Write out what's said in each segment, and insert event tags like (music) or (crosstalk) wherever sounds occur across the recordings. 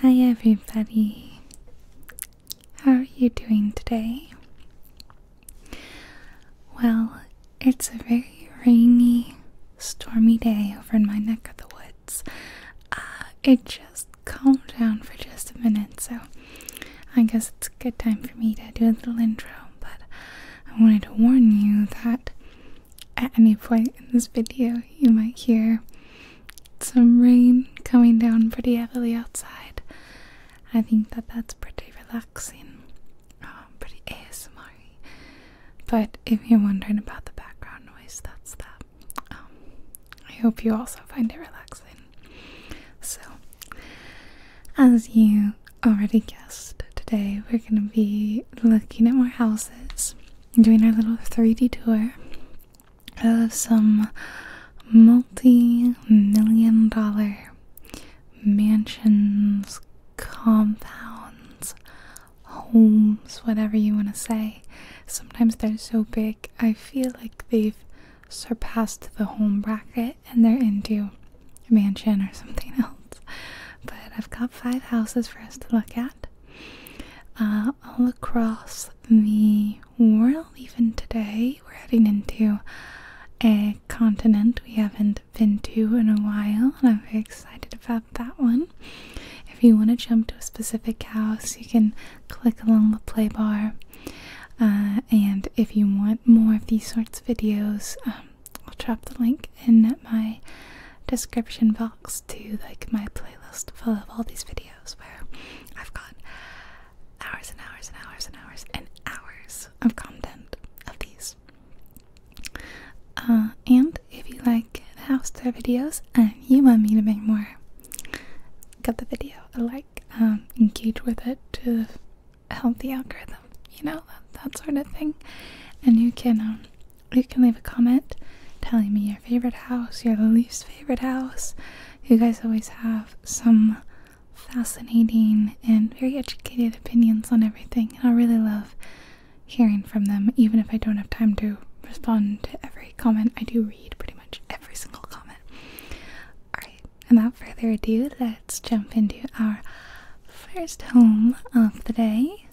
Hi, everybody. How are you doing today? Well, it's a very rainy, stormy day over in my neck of the woods. Ah, it just calmed down for just a minute, so I guess it's a good time for me to do a little intro. But I wanted to warn you that at any point in this video, you might hear some rain coming down pretty heavily outside. I think that that's pretty relaxing, um, pretty ASMR. But if you're wondering about the background noise, that's that. Um, I hope you also find it relaxing. So, as you already guessed, today we're going to be looking at more houses doing our little 3D tour of some multi million dollar mansions, compounds, homes, whatever you want to say. Sometimes they're so big, I feel like they've surpassed the home bracket and they're into a mansion or something (laughs) else. But I've got five houses for us to look at. Uh, all across the world, even today. We're heading into a continent we haven't been to in a while, and I'm very excited about that one. If you want to jump to a specific house, you can click along the play bar. Uh, and if you want more of these sorts of videos, um, I'll drop the link in my description box to like my playlist full of all these videos where I've got hours and hours and hours and hours and hours of content of these. Uh, and if you like the house tour videos and you want me to make more, give the video a like, um, engage with it to help the algorithm, you know, that, sort of thing. And you can um, you can leave a comment telling me your favorite house, your least favorite house. You guys always have some fascinating and very educated opinions on everything, and I really love hearing from them, even if I don't have time to respond to every comment. I do read pretty much every single comment. Alright, without further ado, let's jump into our first home of the day.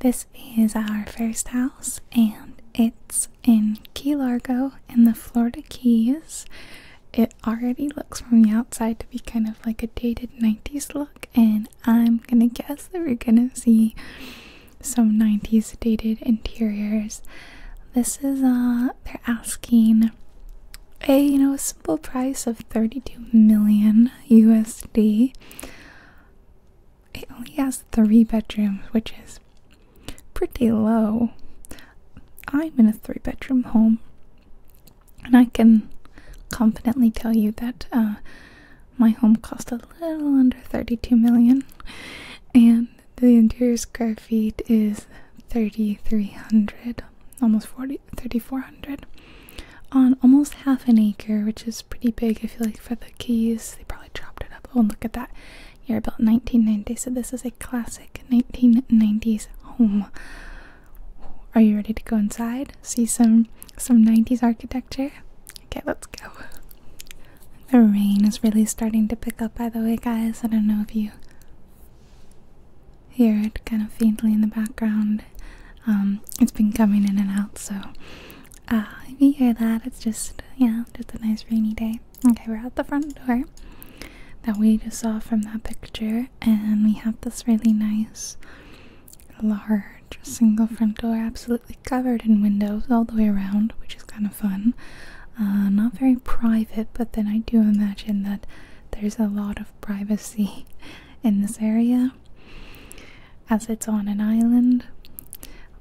This is our first house, and it's in Key Largo in the Florida Keys. It already looks from the outside to be kind of like a dated 90s look, and I'm gonna guess that we're gonna see some 90s dated interiors. This is, uh, they're asking a, you know, a simple price of 32 million USD it only has three bedrooms, which is pretty low. I'm in a three bedroom home, and I can confidently tell you that uh, my home cost a little under 32 million, and the interior square feet is 3,300, almost 40, 3,400, on almost half an acre, which is pretty big, I feel like, for the keys. They probably chopped it up. Oh, and look at that. Year built 1990, so this is a classic 1990s home. Are you ready to go inside? See some some 90s architecture? Okay, let's go. The rain is really starting to pick up, by the way, guys. I don't know if you hear it kind of faintly in the background. Um, it's been coming in and out, so Ah, uh, if you hear that, it's just, yeah, just a nice rainy day. Okay, we're at the front door that we just saw from that picture, and we have this really nice, large, single front door, absolutely covered in windows all the way around, which is kind of fun. Uh, not very private, but then I do imagine that there's a lot of privacy (laughs) in this area as it's on an island.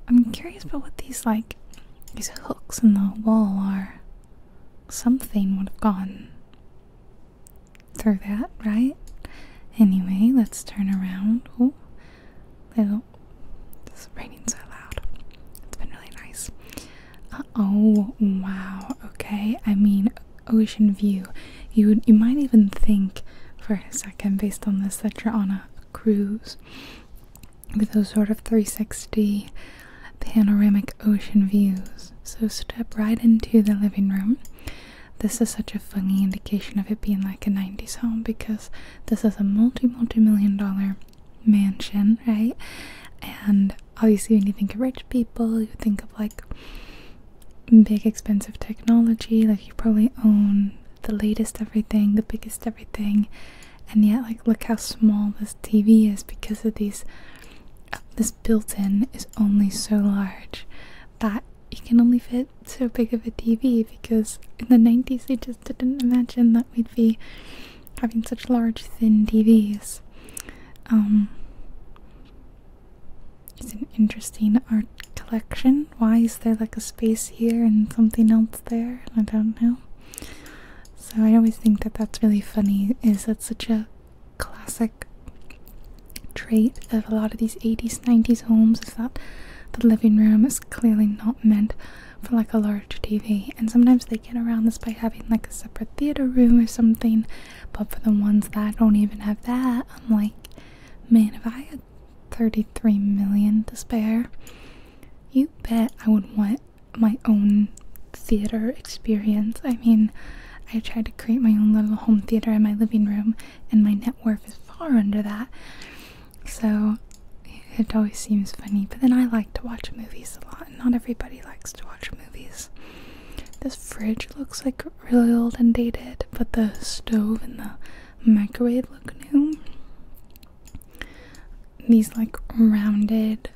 I'm curious about what these like these hooks in the wall are. Something would have gone through that, right? Anyway, let's turn around. Oh, little. It's raining so loud. It's been really nice. oh! Wow. Okay. I mean, ocean view. You would, you might even think for a second, based on this, that you're on a cruise with those sort of 360 panoramic ocean views. So step right into the living room. This is such a funny indication of it being like a 90s home because this is a multi multi million dollar mansion, right? And obviously, when you think of rich people, you think of like big expensive technology, like you probably own the latest everything, the biggest everything, and yet like look how small this TV is because of these. this built-in is only so large that you can only fit so big of a TV because in the 90s they just didn't imagine that we'd be having such large thin TVs. Um, it's an interesting art collection. Why is there like a space here and something else there? I don't know. So I always think that that's really funny. Is that such a classic trait of a lot of these 80s, 90s homes? Is that the living room is clearly not meant for like a large TV, and sometimes they get around this by having like a separate theater room or something. But for the ones that don't even have that, I'm like, man, if I had 33 million to spare. You bet I would want my own theater experience. I mean, I tried to create my own little home theater in my living room, and my net worth is far under that. So it always seems funny. But then I like to watch movies a lot, and not everybody likes to watch movies. This fridge looks like really old and dated, but the stove and the microwave look new. These like rounded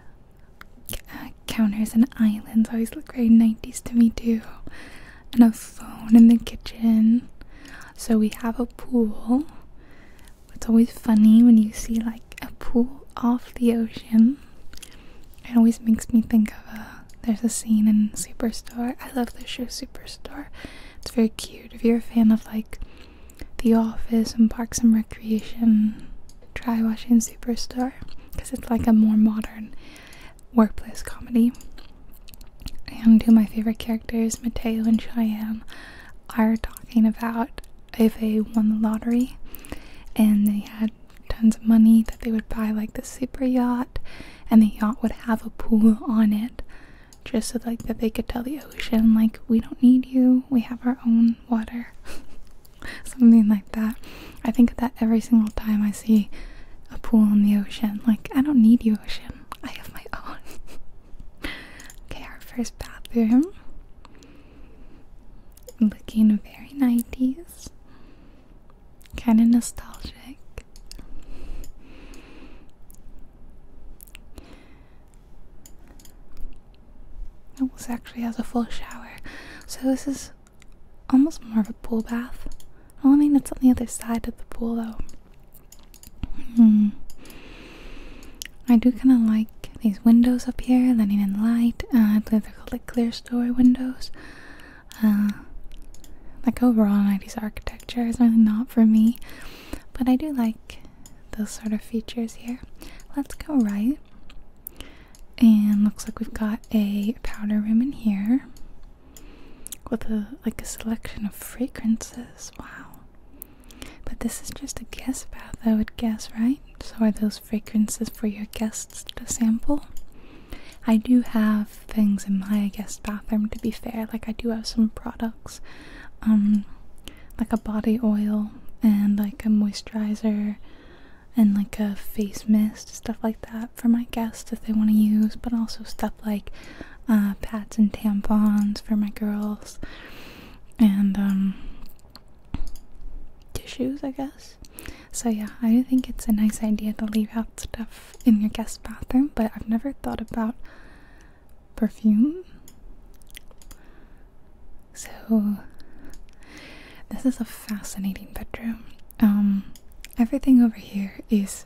uh, counters and islands always look very 90s to me too. And a phone in the kitchen. So we have a pool. It's always funny when you see like a pool off the ocean. It always makes me think of a. There's a scene in Superstore. I love the show Superstore. It's very cute if you're a fan of like The Office and Parks and Recreation, try watching Superstar because it's like a more modern workplace comedy. And two of my favorite characters, Mateo and Cheyenne, are talking about if they won the lottery and they had tons of money that they would buy like the super yacht and the yacht would have a pool on it just so like that they could tell the ocean like we don't need you we have our own water (laughs) something like that i think that every single time i see a pool in the ocean like i don't need you ocean i have my own (laughs) okay our first bathroom looking very 90s kind of nostalgic this actually has a full shower, so this is almost more of a pool bath. I mean, it's on the other side of the pool though. Hmm. I do kind of like these windows up here, letting in light. Uh, I believe they're called like clear story windows. Uh, like overall, 90s architecture is really not for me. But I do like those sort of features here. Let's go right. And looks like we've got a powder room in here with a like a selection of fragrances. Wow. But this is just a guest bath, I would guess, right? So are those fragrances for your guests to sample? I do have things in my guest bathroom to be fair. Like I do have some products um, like a body oil and like a moisturizer and like a face mist stuff like that for my guests if they want to use but also stuff like uh, pads and tampons for my girls and um, tissues i guess so yeah i think it's a nice idea to leave out stuff in your guest bathroom but i've never thought about perfume. So, this is a fascinating bedroom. Um, everything over here is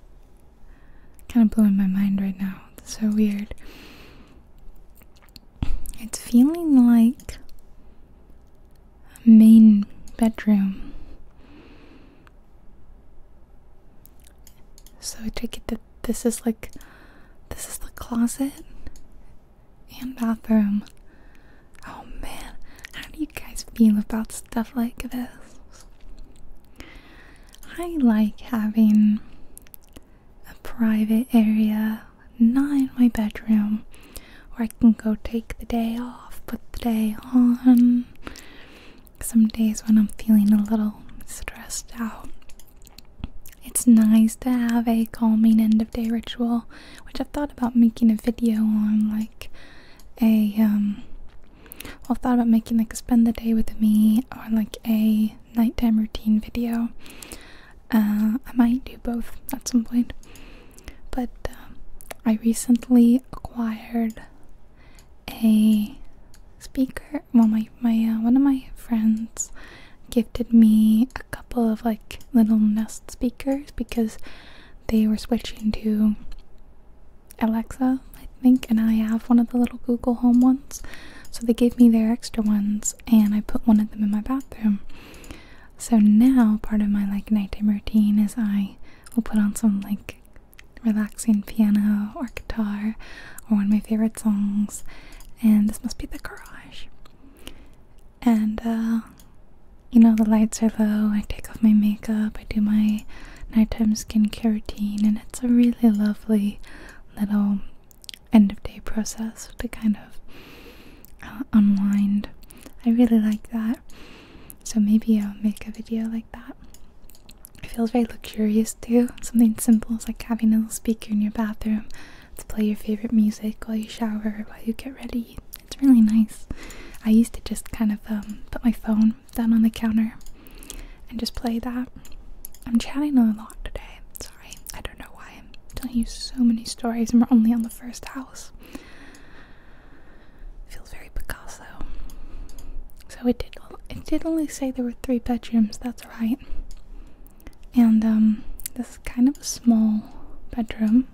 kind of blowing my mind right now. It's so weird. It's feeling like a main bedroom. So I take it that this is like this is the closet and bathroom. Oh man, how do you guys feel about stuff like this? I like having a private area, not in my bedroom, where I can go take the day off, put the day on, some days when I'm feeling a little stressed out, it's nice to have a calming end of day ritual, which I've thought about making a video on, like a um, I've thought about making like a spend the day with me or like a nighttime routine video. Uh, I might do both at some point, but um, I recently acquired a speaker. Well, my my uh, one of my friends gifted me a couple of like little Nest speakers because they were switching to Alexa, I think, and I have one of the little Google Home ones. So they gave me their extra ones, and I put one of them in my bathroom. So now part of my like nighttime routine is I will put on some like relaxing piano or guitar or one of my favorite songs and this must be the garage and uh, you know the lights are low i take off my makeup i do my nighttime skincare routine and it's a really lovely little end of day process to kind of uh, unwind i really like that so maybe i'll make a video like that it feels very luxurious too. Something simple is like having a little speaker in your bathroom to play your favorite music while you shower, or while you get ready. It's really nice. I used to just kind of um, put my phone down on the counter and just play that. I'm chatting a lot today. Sorry, I don't know why. I'm telling you so many stories and we're only on the first house. Feels very Picasso. So it did it did only say there were three bedrooms, that's right. And um, this is kind of a small bedroom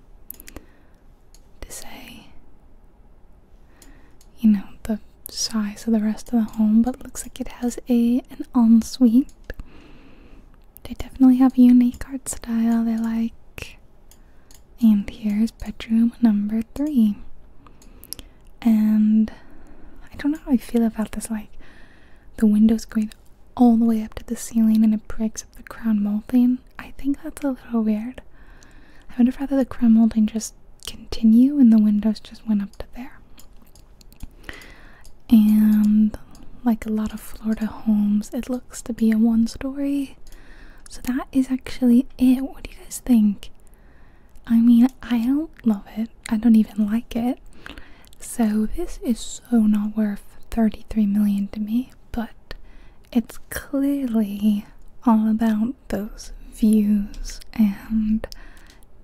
to say, you know, the size of the rest of the home, but looks like it has a an ensuite. They definitely have a unique art style they like. And here's bedroom number three and I don't know how I feel about this. Like, the windows going all the way up to the ceiling and it breaks up the crown molding. I think that's a little weird. I would have rather the crown molding just continue and the windows just went up to there. And like a lot of Florida homes, it looks to be a one story. So that is actually it. What do you guys think? I mean, I don't love it. I don't even like it. So this is so not worth 33 million to me, but it's clearly all about those views and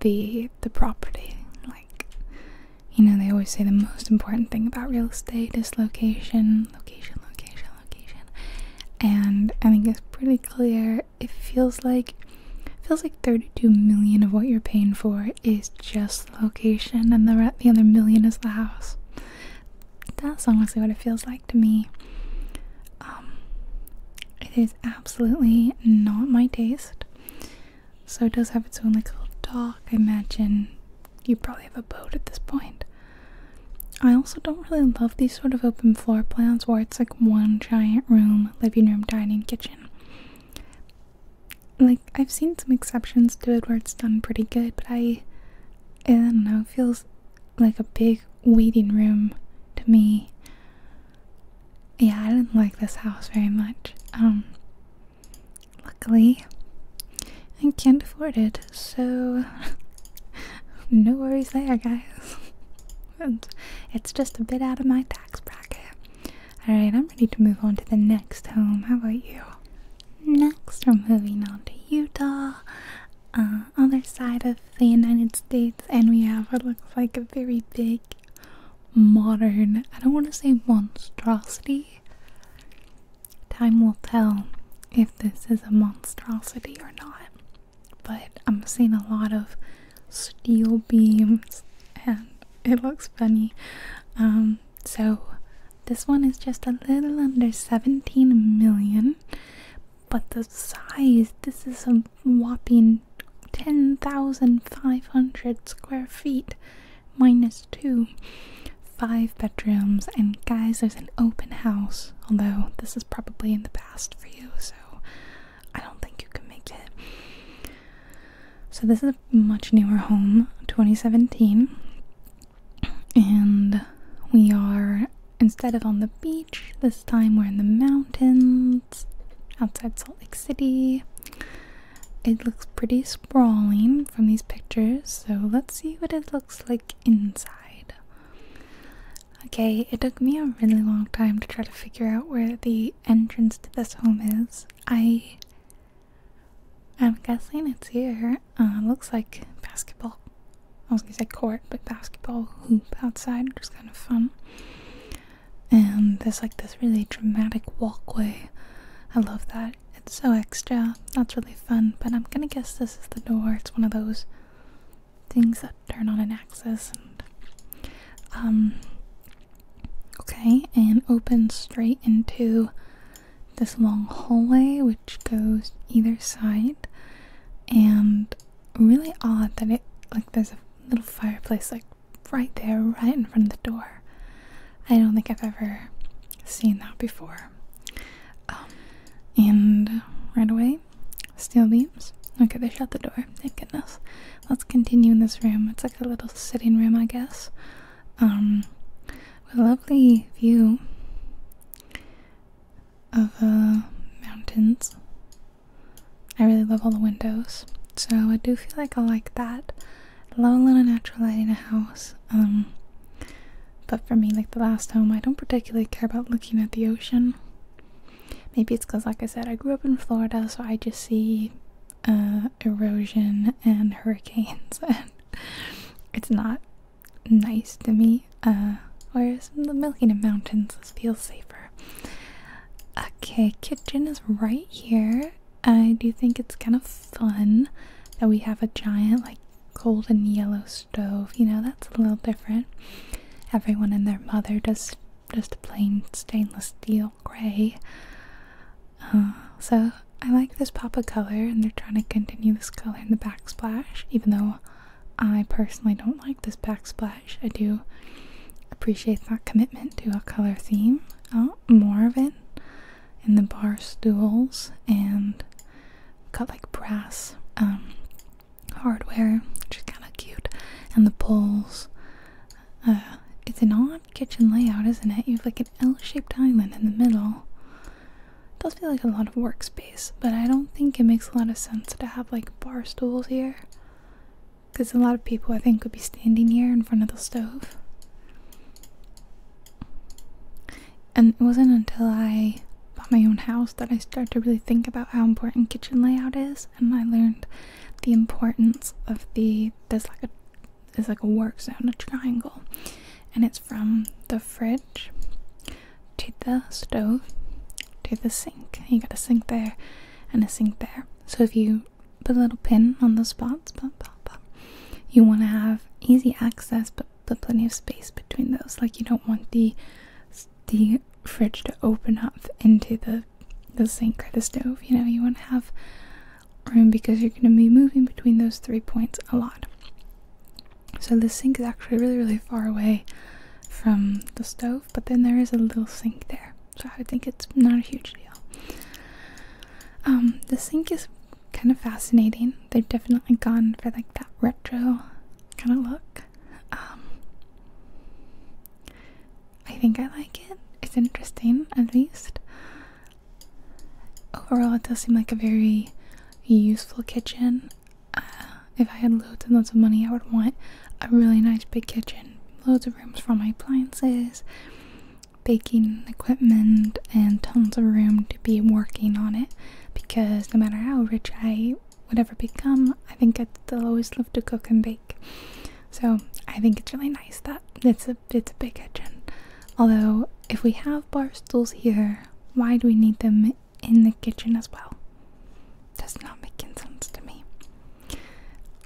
the the property. Like you know, they always say the most important thing about real estate is location, location, location, location. And I think it's pretty clear it feels like feels like 32 million of what you're paying for is just location and the the other million is the house. That's honestly what it feels like to me. Um, it is absolutely not my taste. So it does have its own like little dock. I imagine you probably have a boat at this point. I also don't really love these sort of open floor plans where it's like one giant room living room, dining, kitchen. Like, I've seen some exceptions to it where it's done pretty good, but I, I don't know, it feels like a big waiting room to me. Yeah, I didn't like this house very much. Um, luckily, I can't afford it, so (laughs) no worries there, guys. It's just a bit out of my tax bracket. Alright, I'm ready to move on to the next home. How about you? Next, we're moving on to Utah, uh, other side of the United States, and we have what looks like a very big, modern, I don't want to say monstrosity. Time will tell if this is a monstrosity or not but I'm seeing a lot of steel beams and it looks funny. Um, so this one is just a little under 17 million, but the size this is a whopping 10,500 square feet minus two. Five bedrooms, and guys, there's an open house. Although this is probably in the past for you, so I don't think you can make it. So this is a much newer home, 2017. And we are instead of on the beach, this time we're in the mountains outside Salt Lake City. It looks pretty sprawling from these pictures, so let's see what it looks like inside. Okay, it took me a really long time to try to figure out where the entrance to this home is. I I'm guessing it's here. Uh, looks like basketball. I was gonna say court, but basketball hoop outside, which is kind of fun. And there's like this really dramatic walkway. I love that. It's so extra. That's really fun. But I'm gonna guess this is the door. It's one of those things that turn on an axis and um okay and open straight into this long hallway which goes either side and really odd that it like there's a little fireplace like right there right in front of the door i don't think i've ever seen that before um, and right away Steel beams? Okay, they shut the door. Thank goodness. Let's continue in this room. It's like a little sitting room, I guess. Um, a lovely view of the uh, mountains. I really love all the windows, so I do feel like I like that. I love a little natural light in a house. Um, but for me, like the last home, I don't particularly care about looking at the ocean. Maybe it's because, like I said, I grew up in Florida, so I just see uh, erosion and (laughs) hurricanes, (laughs) and it's not nice to me. whereas uh, the the of Mountains, feels safer. Okay, kitchen is right here. I do think it's kind of fun that we have a giant, like, golden yellow stove. You know, that's a little different. Everyone and their mother does just plain stainless steel gray. Uh, so I like this pop of color, and they're trying to continue this color in the backsplash, even though I personally don't like this backsplash. I do appreciate that commitment to a color theme. Oh, more of it in the bar stools and got like brass um, hardware, which is kind of cute, and the poles. Uh, it's an odd kitchen layout, isn't it? You have like an L-shaped island in the middle. It does feel like a lot of workspace, but I don't think it makes a lot of sense to have like bar stools here. Because a lot of people, I think, would be standing here in front of the stove. And it wasn't until I bought my own house that I started to really think about how important kitchen layout is and I learned the importance of the there's like a there's like a work zone, a triangle. And it's from the fridge to the stove to the sink. You got a sink there and a sink there. So if you put a little pin on the spots, you want to have easy access but, but plenty of space between those. Like you don't want the the fridge to open up into the the sink or the stove. You know, you want to have room because you're going to be moving between those three points a lot. So the sink is actually really, really far away from the stove, but then there is a little sink there. So I think it's not a huge deal. Um, the sink is kind of fascinating. They've definitely gone for like that retro kind of look. Um, I think I like it. It's interesting, at least. Overall, it does seem like a very useful kitchen. Uh, if I had loads and loads of money, I would want a really nice big kitchen, loads of rooms for all my appliances, baking equipment, and tons of room to be working on it. Because no matter how rich I would ever become, I think I'd still always love to cook and bake. So I think it's really nice that it's a it's a big kitchen. Although if we have bar stools here, why do we need them in the kitchen as well? Does not make sense to me.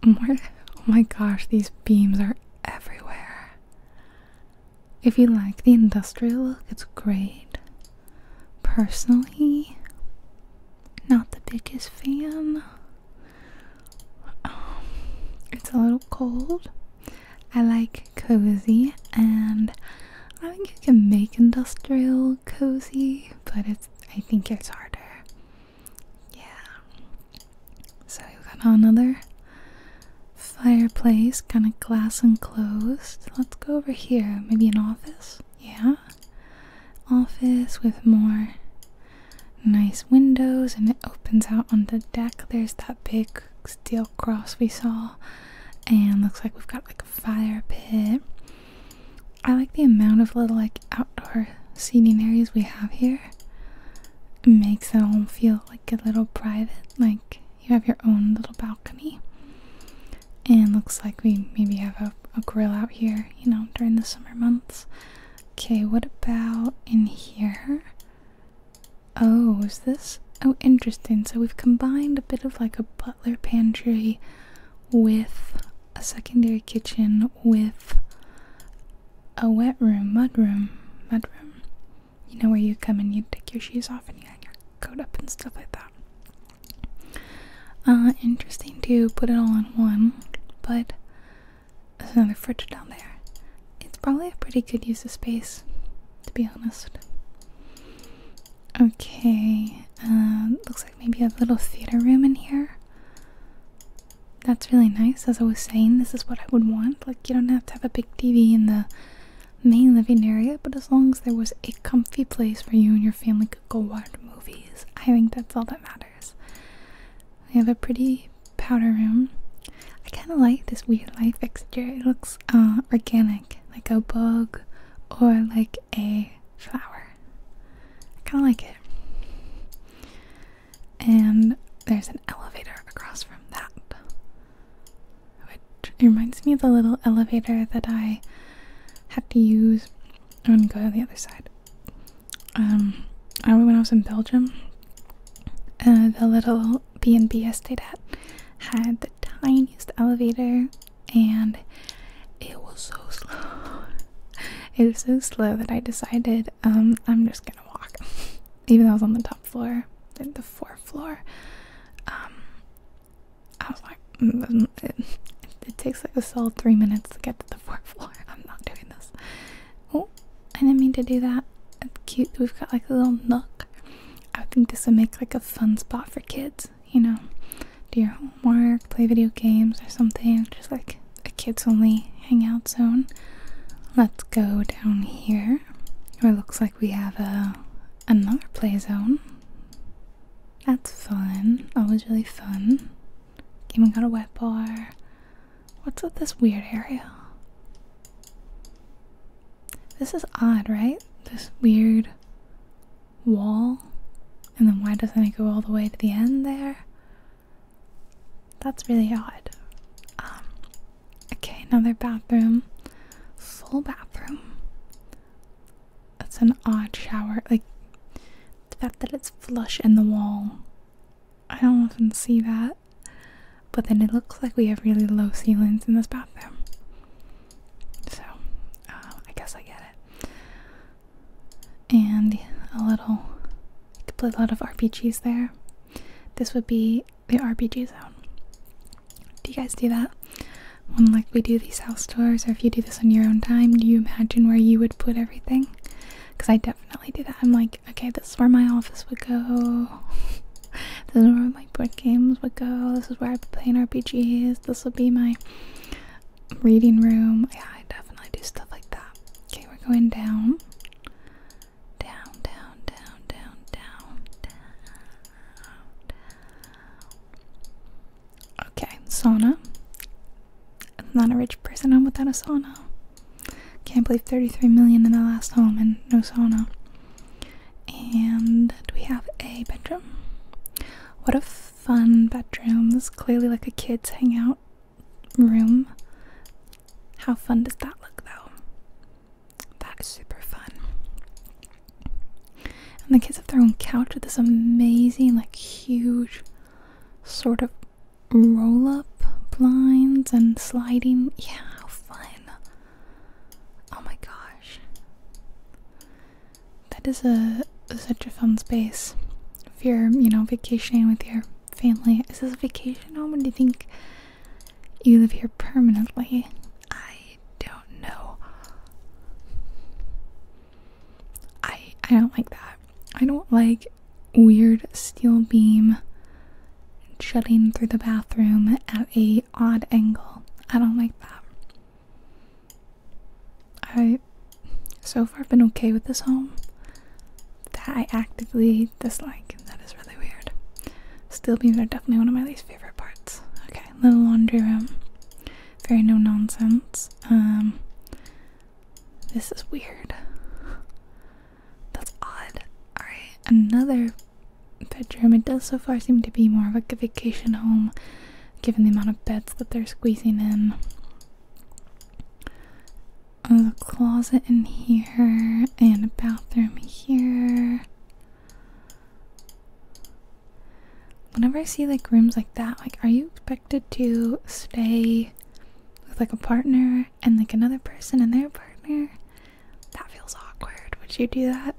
More, oh my gosh, these beams are everywhere. If you like the industrial look, it's great. Personally, not the biggest fan. Um, it's a little cold. I like cozy, and I think you can make industrial cozy, but it's I think it's harder. Yeah. So you got another fireplace, kind of glass enclosed. Let's go over here. Maybe an office. Yeah office with more nice windows and it opens out on the deck. There's that big steel cross we saw and looks like we've got like a fire pit. I like the amount of little like outdoor seating areas we have here. It makes the all feel like a little private, like you have your own little balcony. And looks like we maybe have a grill out here, you know, during the summer months. Okay, what about in here? Oh, is this? Oh, interesting. So we've combined a bit of like a butler pantry with a secondary kitchen with a wet room, mud room, mud room. You know where you come and you take your shoes off and you hang your coat up and stuff like that. Uh, interesting to put it all in one, but there's another fridge down there. It's probably a pretty good use of space, to be honest. Okay, um, looks like maybe a little theater room in here. That's really nice. As I was saying, this is what I would want. Like, you don't have to have a big TV in the main living area, but as long as there was a comfy place where you and your family could go watch movies, I think that's all that matters. We have a pretty powder room. I kind of like this weird life fixture. It looks uh, organic, like a bug or like a flower. I kind of like it. And there's an elevator across from that. Which reminds me of the little elevator that I had to use. I'm go to the other side um, I remember when I was in Belgium, uh, the little B&B stayed at had the tiniest elevator and it was so (laughs) slow. It was so slow that I decided um, I'm just gonna walk. (laughs) Even though I was on the top floor, the fourth floor, um, I was like, mm, mm, mm. it takes like a solid three minutes to get to the fourth floor. (laughs) I'm not doing this. Oh, I didn't mean to do that. It's cute. We've got like a little nook. I think this would make like a fun spot for kids, you know, do your homework, play video games or something. Just like a kids only hangout zone. Let's go down here. Where it looks like we have a another play zone. That's fun. Always really fun. Came and got a wet bar. What's with this weird area? This is odd, right? This weird wall. And then why doesn't it go all the way to the end there? That's really odd. Um, okay, another bathroom. Full bathroom. That's an odd shower. Like, the fact that it's flush in the wall. I don't often see that. But then it looks like we have really low ceilings in this bathroom. So, uh, I guess I get it. And a little, I could play a lot of RPGs there. This would be the RPG zone. Do you guys do that? When like we do these house tours, or if you do this on your own time, do you imagine where you would put everything? because I definitely do that. I'm like, okay, this is where my office would go. (laughs) this is where my board games would go. This is where I would play in RPGs. This would be my reading room. Yeah, I definitely do stuff like that. Okay, we're going Down, down, down, down, down, down, down. Okay, sauna. I'm not a rich person, I'm without a sauna. Can't believe 33 million in the last home and no sauna. And do we have a bedroom? What a fun bedroom. This is clearly like a kid's hangout room. How fun does that look though? That is super fun. And the kids have their own couch with this amazing, like, huge sort of roll up blinds and sliding. Yeah, how fun! Oh my gosh. That is a such a fun space. If you're, you know, vacationing with your family. Is this a vacation home do you think you live here permanently? I don't know. I I don't like that. I don't like weird steel beam jutting through the bathroom at a odd angle. I don't like that. I so far been okay with this home that I actively dislike. That is really weird. Steel beams are definitely one of my least favorite parts. Okay, little laundry room. Very no nonsense. Um this is weird. That's odd. Alright, another bedroom. It does so far seem to be more of a vacation home given the amount of beds that they're squeezing in. Uh, There's a closet in here and a bathroom here. Whenever I see like rooms like that, like are you expected to stay with like a partner and like another person and their partner. That feels awkward. Would you do that?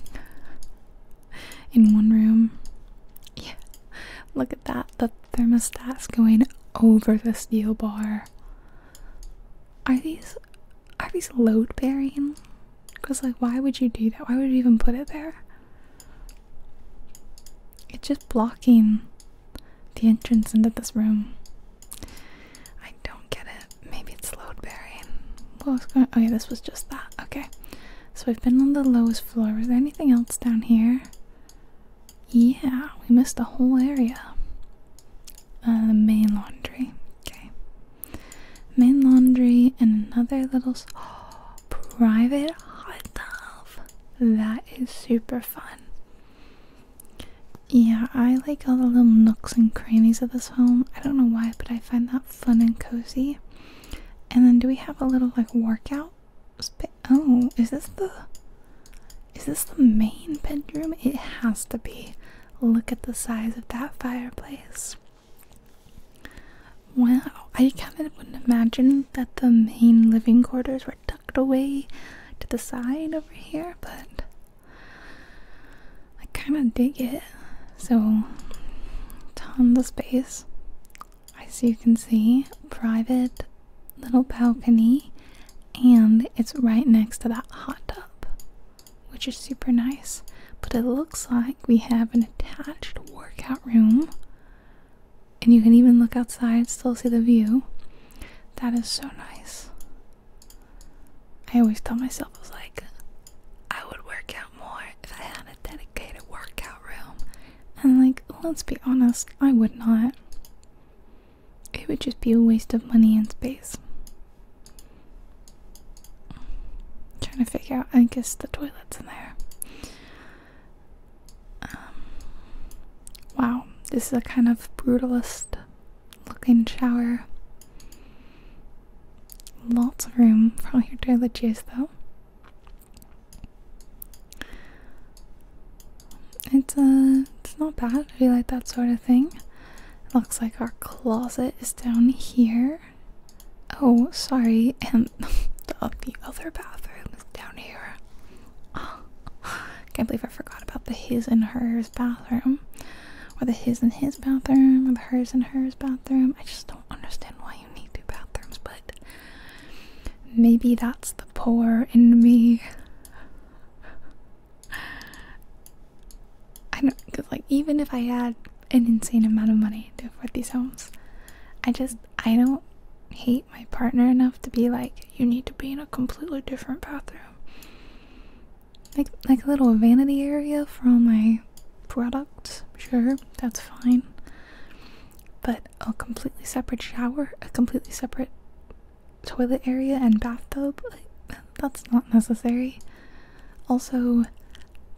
(sighs) In one room. Yeah. Look at that. The thermostat's going over the steel bar. Are these are these load bearing? Because like why would you do that? Why would you even put it there? It's just blocking the entrance into this room. I don't get it. Maybe it's load bearing. What was going Okay, this was just that. Okay. So we've been on the lowest floor. Was there anything else down here? Yeah, we missed the whole area. Uh, the main laundry. Okay. Main laundry and another little private hot tub. That is super fun. Yeah, I like all the little nooks and crannies of this home. I don't know why, but I find that fun and cozy. And then do we have a little like workout Oh, is this the is this the main bedroom? It has to be. Look at the size of that fireplace. Wow, I kind of wouldn't imagine that the main living quarters were tucked away to the side over here, but I kind of dig it. So, tons of space. As you can see, private little balcony, and it's right next to that hot tub, which is super nice. But it looks like we have an attached workout room and you can even look outside, still see the view. That is so nice. I always tell myself, I was like, I would work out more if I had a dedicated workout room. And, like, let's be honest, I would not. It would just be a waste of money and space. trying to figure out, I guess the toilet's in there. Um, wow, this is a kind of brutalist looking shower. Lots of room for all your toiletries, though. It's uh, it's not bad. If you like that sort of thing. looks like our closet is down here. Oh, sorry, (laughs) the, other bathroom down here. Oh, (sighs) can't believe I forgot about the his and hers bathroom. Or the his and his bathroom, or the hers and hers bathroom. I just don't understand why you need two bathrooms, but maybe that's the poor in me. (sighs) I don't because like even if I had an insane amount of money to afford these homes, I just I don't hate my partner enough to be like, you need to be in a completely different bathroom. Like, like a little vanity area for all my products. Sure, that's fine. But a completely separate shower, a completely separate toilet area and bathtub, that's not necessary. Also,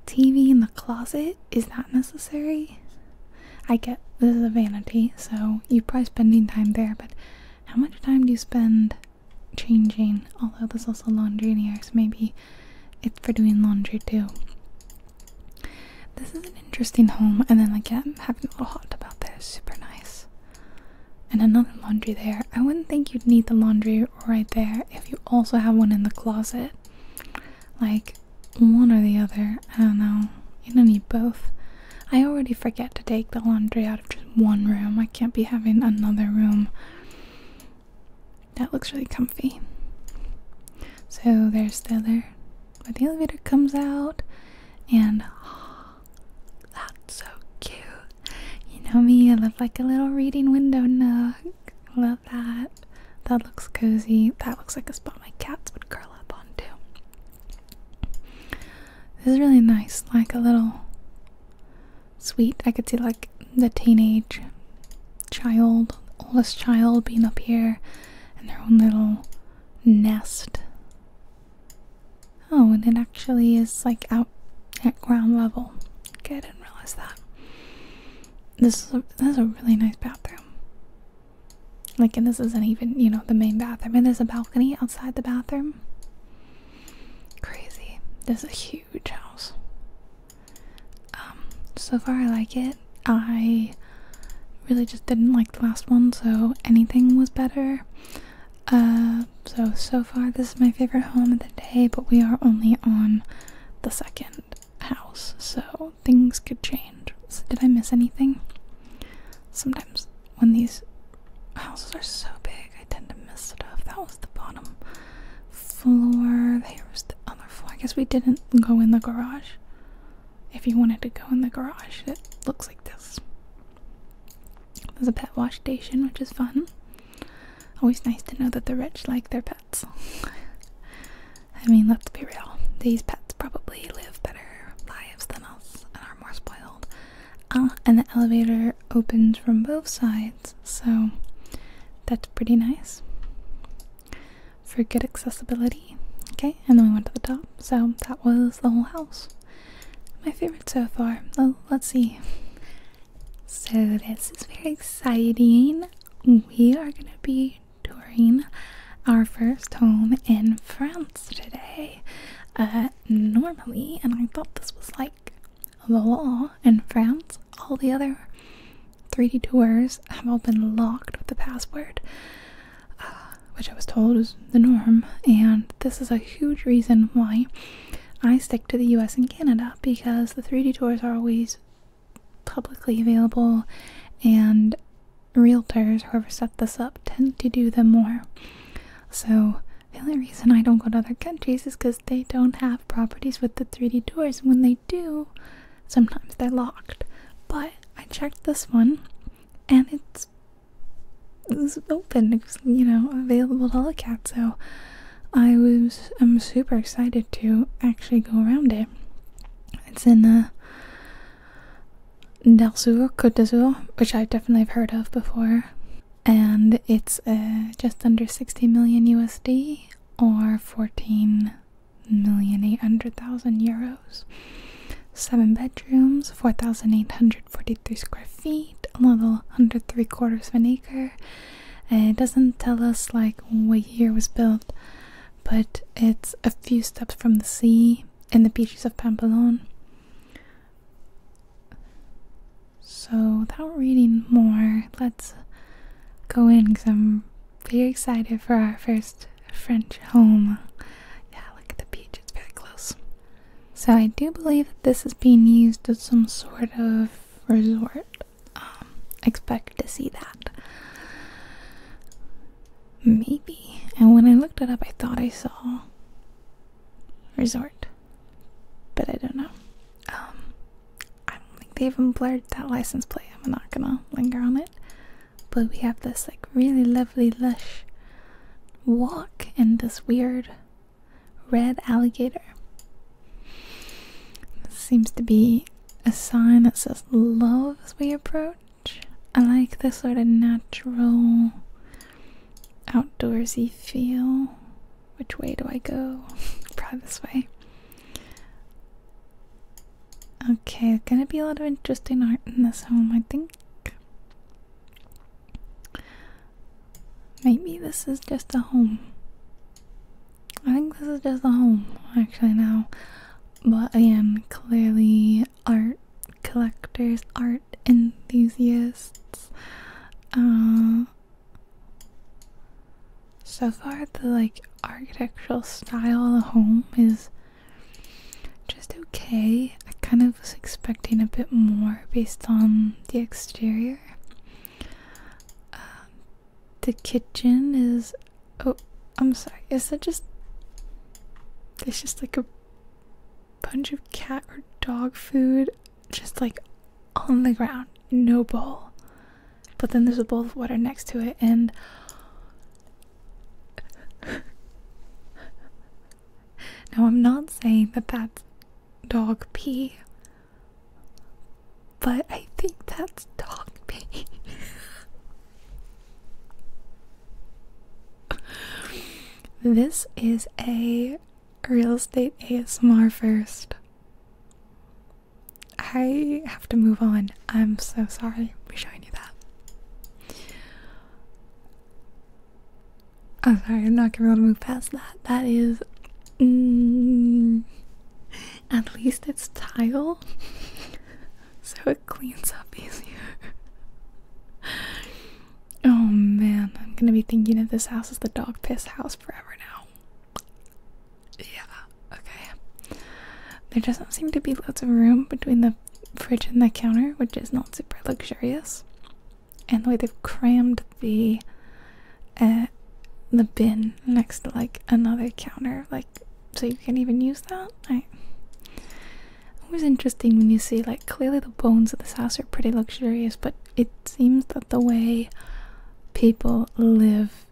TV in the closet is that necessary. I get this is a vanity, so you're probably spending time there, but how much time do you spend changing? Although there's also laundry in here, so maybe it's for doing laundry too. This is an interesting home, and then again, having a little hot tub out there is super nice. And another laundry there. I wouldn't think you'd need the laundry right there if you also have one in the closet. Like, one or the other. I don't know. You don't need both. I already forget to take the laundry out of just one room. I can't be having another room. That looks really comfy. So there's the other where the elevator comes out and oh, (gasps) that's so cute. You know me, I love like a little reading window nook. Love that. That looks cozy. That looks like a spot my cats would curl up on too. This is really nice, like a little sweet. I could see like the teenage child, oldest child being up here and their own little nest. Oh, and it actually is like out at ground level. Okay, I didn't realize that. This is this is a really nice bathroom. Like, and this isn't even, you know, the main bathroom. And there's a balcony outside the bathroom. Crazy. This is a huge house. Um, so far I like it. I really just didn't like the last one, so anything was better. Uh, so, so far this is my favorite home of the day, but we are only on the second house, so things could change. did I miss anything? Sometimes when these houses are so big, I tend to miss stuff. That was the bottom floor. There was the other floor. I guess we didn't go in the garage. If you wanted to go in the garage, it looks like this. There's a pet wash station, which is fun. Always nice to know that the rich like their pets. (laughs) I mean, let's be real. These pets probably live better lives than us and are more spoiled. Uh, and the elevator opens from both sides, so that's pretty nice for good accessibility. Okay, and then we went to the top, so that was the whole house. My favorite so far. Oh, let's see. So, this is very exciting. We are gonna be touring our first home in France today. Uh, normally, and I thought this was like the law in France, all the other 3D tours have all been locked with a password, uh, which I was told is the norm. And this is a huge reason why I stick to the US and Canada because the 3D tours are always publicly available and realtors, who ever set this up, tend to do them more. So the only reason I don't go to other countries is because they don't have properties with the 3D doors. when they do, sometimes they're locked. But I checked this one, and it's it was open. It was, you know, available to look at. So I was I'm super excited to actually go around it. It's in the. Del Sur, Côte d'Azur, which I definitely have heard of before, and it's uh, just under 60 million USD or 14 million 800,000 euros. Seven bedrooms, 4,843 square feet, a little under three quarters of an acre. Uh, it doesn't tell us like when year was built, but it's a few steps from the sea in the beaches of Pampelon. So, without reading more, let's go in because I'm very excited for our first French home. Yeah, look at the beach, it's very close. So, I do believe that this is being used as some sort of resort. Um, expect to see that. Maybe. And when I looked it up, I thought I saw resort. But I don't know. Um, I don't think they even blurred that license plate. I'm not gonna linger on it. But we have this like really lovely, lush walk and this weird red alligator. This seems to be a sign that says love as we approach. I like the sort of natural outdoorsy feel. Which way do I go? (laughs) Probably this way. Okay, gonna be a lot of interesting art in this home, I think. Maybe this is just a home. I think this is just a home, actually, now. But I am clearly art collectors, art enthusiasts. Uh, so far, the like architectural style of the home is just okay. I kind of was expecting a bit more based on the exterior. Uh, the kitchen is Oh, I'm sorry. Is that just. It's just like a bunch of cat or dog food just like on the ground. No bowl. But then there's a bowl of water next to it, and. (laughs) now, I'm not saying that that's dog pee, but I think that's dog pee. (laughs) this is a real estate ASMR first. I have to move on. I'm so sorry for showing you that. I'm sorry, I'm not gonna be able to move past that. That is. Mm, at least it's tile. (laughs) so cleans up easier. oh man, I'm gonna be thinking of this house as the dog piss house forever now. Yeah, okay. There doesn't seem to be lots of room between the fridge and the counter, which is not super luxurious. And the way they've crammed the uh, the bin next to like another counter, like so you can't even use that. I was interesting when you see like clearly the bones of this house are pretty luxurious, but it seems that the way people live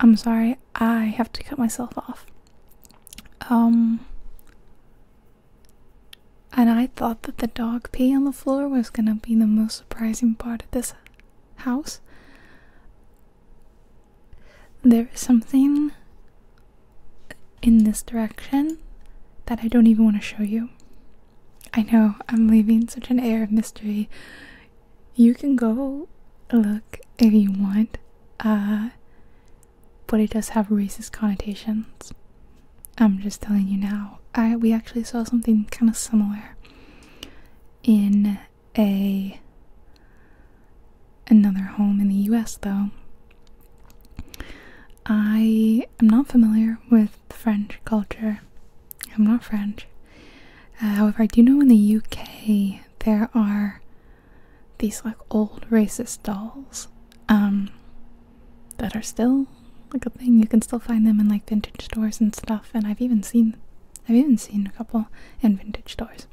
I'm sorry, I have to cut myself off. Um and I thought that the dog pee on the floor was gonna be the most surprising part of this house. There is something in this direction that I don't even want to show you. I know, I'm leaving such an air of mystery. You can go look if you want. Uh, but it does have racist connotations. I'm just telling you now. I we actually saw something kind of similar in a another home in the US though. I am not familiar with French culture. I'm not French. Uh, however, I do know in the UK there are these like old racist dolls. Um, that are still like a thing. You can still find them in like vintage stores and stuff. And I've even seen, I've even seen a couple in vintage stores.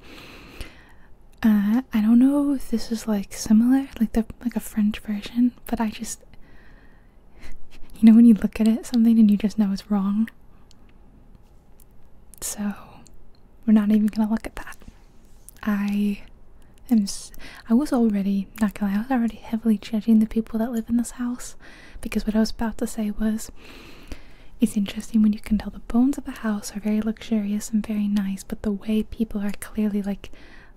Uh, I don't know if this is like similar, like the like a French version, but I just, (laughs) you know, when you look at it something and you just know it's wrong. So, we're not even gonna look at that. I am. I was already not going. to I was already heavily judging the people that live in this house because what I was about to say was, it's interesting when you can tell the bones of a house are very luxurious and very nice, but the way people are clearly like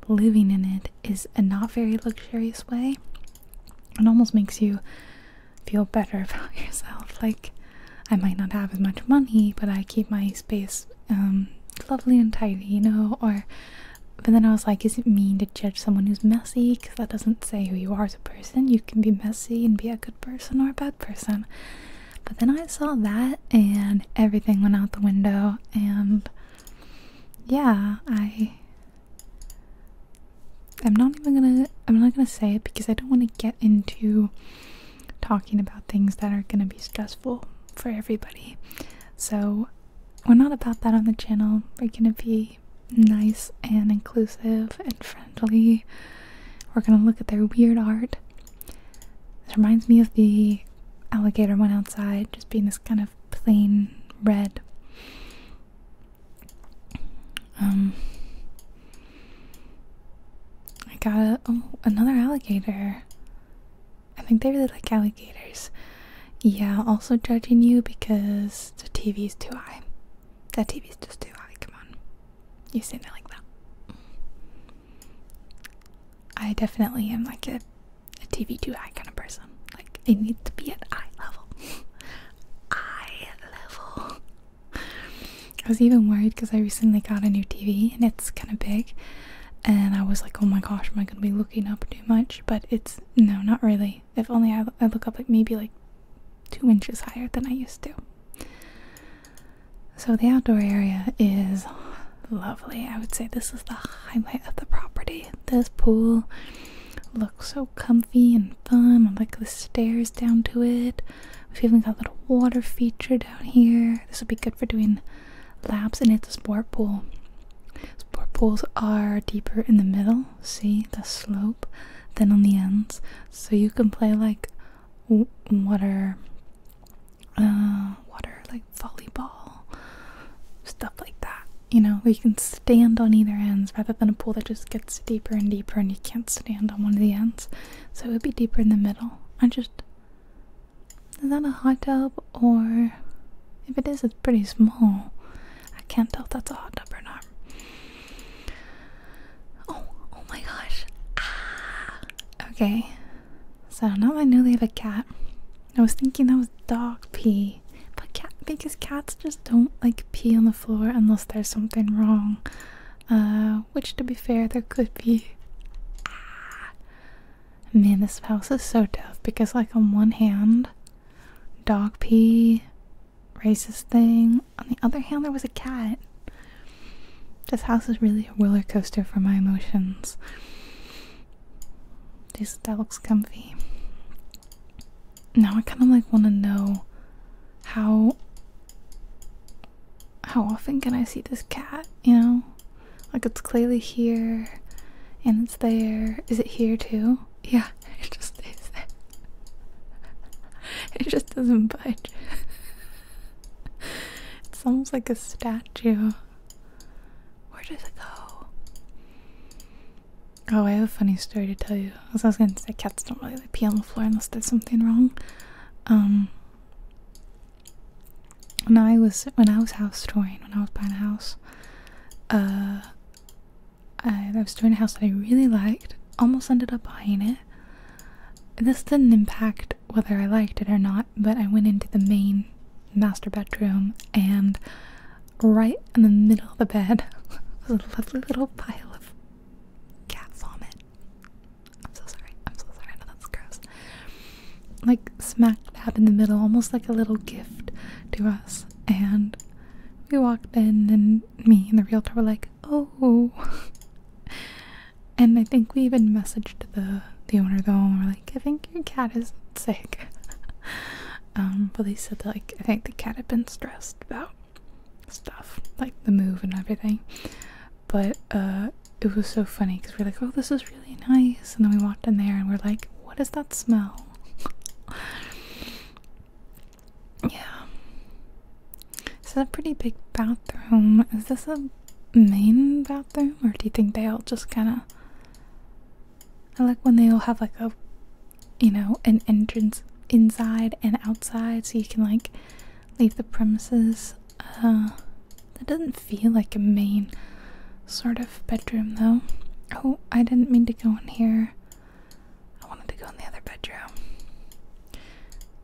living in it is a not very luxurious way. It almost makes you feel better (laughs) about yourself. Like I might not have as much money, but I keep my space um, lovely and tidy, you know, or but then I was like, is it mean to judge someone who's messy? Because that doesn't say who you are as a person. You can be messy and be a good person or a bad person. But then I saw that and everything went out the window. And yeah, I. I'm not even gonna. I'm not gonna say it because I don't want to get into talking about things that are gonna be stressful for everybody. So, we're not about that on the channel. We're gonna be nice and inclusive and friendly. We're gonna look at their weird art. This reminds me of the alligator one outside, just being this kind of plain red. Um, I got a, oh, another alligator. I think they really like alligators. Yeah, also judging you because the TV is too high. That is just too high, come on. You sitting there like that. I definitely am like a, a TV too high kind of person. Like, it needs to be at eye level. (laughs) eye level. (laughs) I was even worried because I recently got a new TV and it's kind of big and I was like, oh my gosh, am I going to be looking up too much? But it's no, not really. If only I, I look up like maybe like two inches higher than I used to. So the outdoor area is lovely. I would say this is the highlight of the property. This pool looks so comfy and fun. I like the stairs down to it. We've even got a little water feature down here. This would be good for doing laps in hit the sport pool. Sport pools are deeper in the middle, see the slope, than on the ends. So you can play like water, uh, water like volleyball, stuff like that. You know, where you can stand on either ends rather than a pool that just gets deeper and deeper and you can't stand on one of the ends. So it would be deeper in the middle. I just is that a hot tub or if it is it's pretty small. I can't tell if that's a hot tub or not. Oh, oh my gosh. Ah. Okay. So now I know they have a cat. I was thinking that was dog pee. But cat because cats just don't like pee on the floor unless there's something wrong. Uh which to be fair there could be. Ah. Man, this house is so tough because, like, on one hand, dog pee, racist thing. On the other hand, there was a cat. This house is really a roller coaster for my emotions. This that looks comfy. Now I kind of like want to know how how often can I see this cat? You know, like it's clearly here and it's there. Is it here too? Yeah, (laughs) it just stays there. (laughs) it just doesn't budge. (laughs) it's almost like a statue. Where does it go? Oh, I have a funny story to tell you. I was gonna say, cats don't really pee on the floor unless there's something wrong. Um, when I was when I was house touring, when I was buying a house, uh, I, was touring a house that I really liked. Almost ended up buying it. This didn't impact whether I liked it or not, but I went into the main master bedroom and right in the middle of the bed (laughs) a lovely little pile of cat vomit. I'm so sorry. I'm so sorry. that's gross like smack dab in the middle, almost like a little gift to us. And we walked in, and me and the realtor were like, "Oh." (laughs) and I think we even messaged the the owner though, and we're like, "I think your cat is sick." (laughs) um, but they said that, like I think the cat had been stressed about stuff, like the move and everything. But uh, it was so funny because we're like, "Oh, this is really nice. And then we walked in there and we're like, "What does that smell? (laughs) yeah. It's a pretty big bathroom. Is this a main bathroom? Or do you think they all just kind of. I like when they all have like a. You know, an entrance inside and outside so you can like leave the premises. Uh, that doesn't feel like a main sort of bedroom though. Oh, I didn't mean to go in here. I wanted to go in the other bedroom.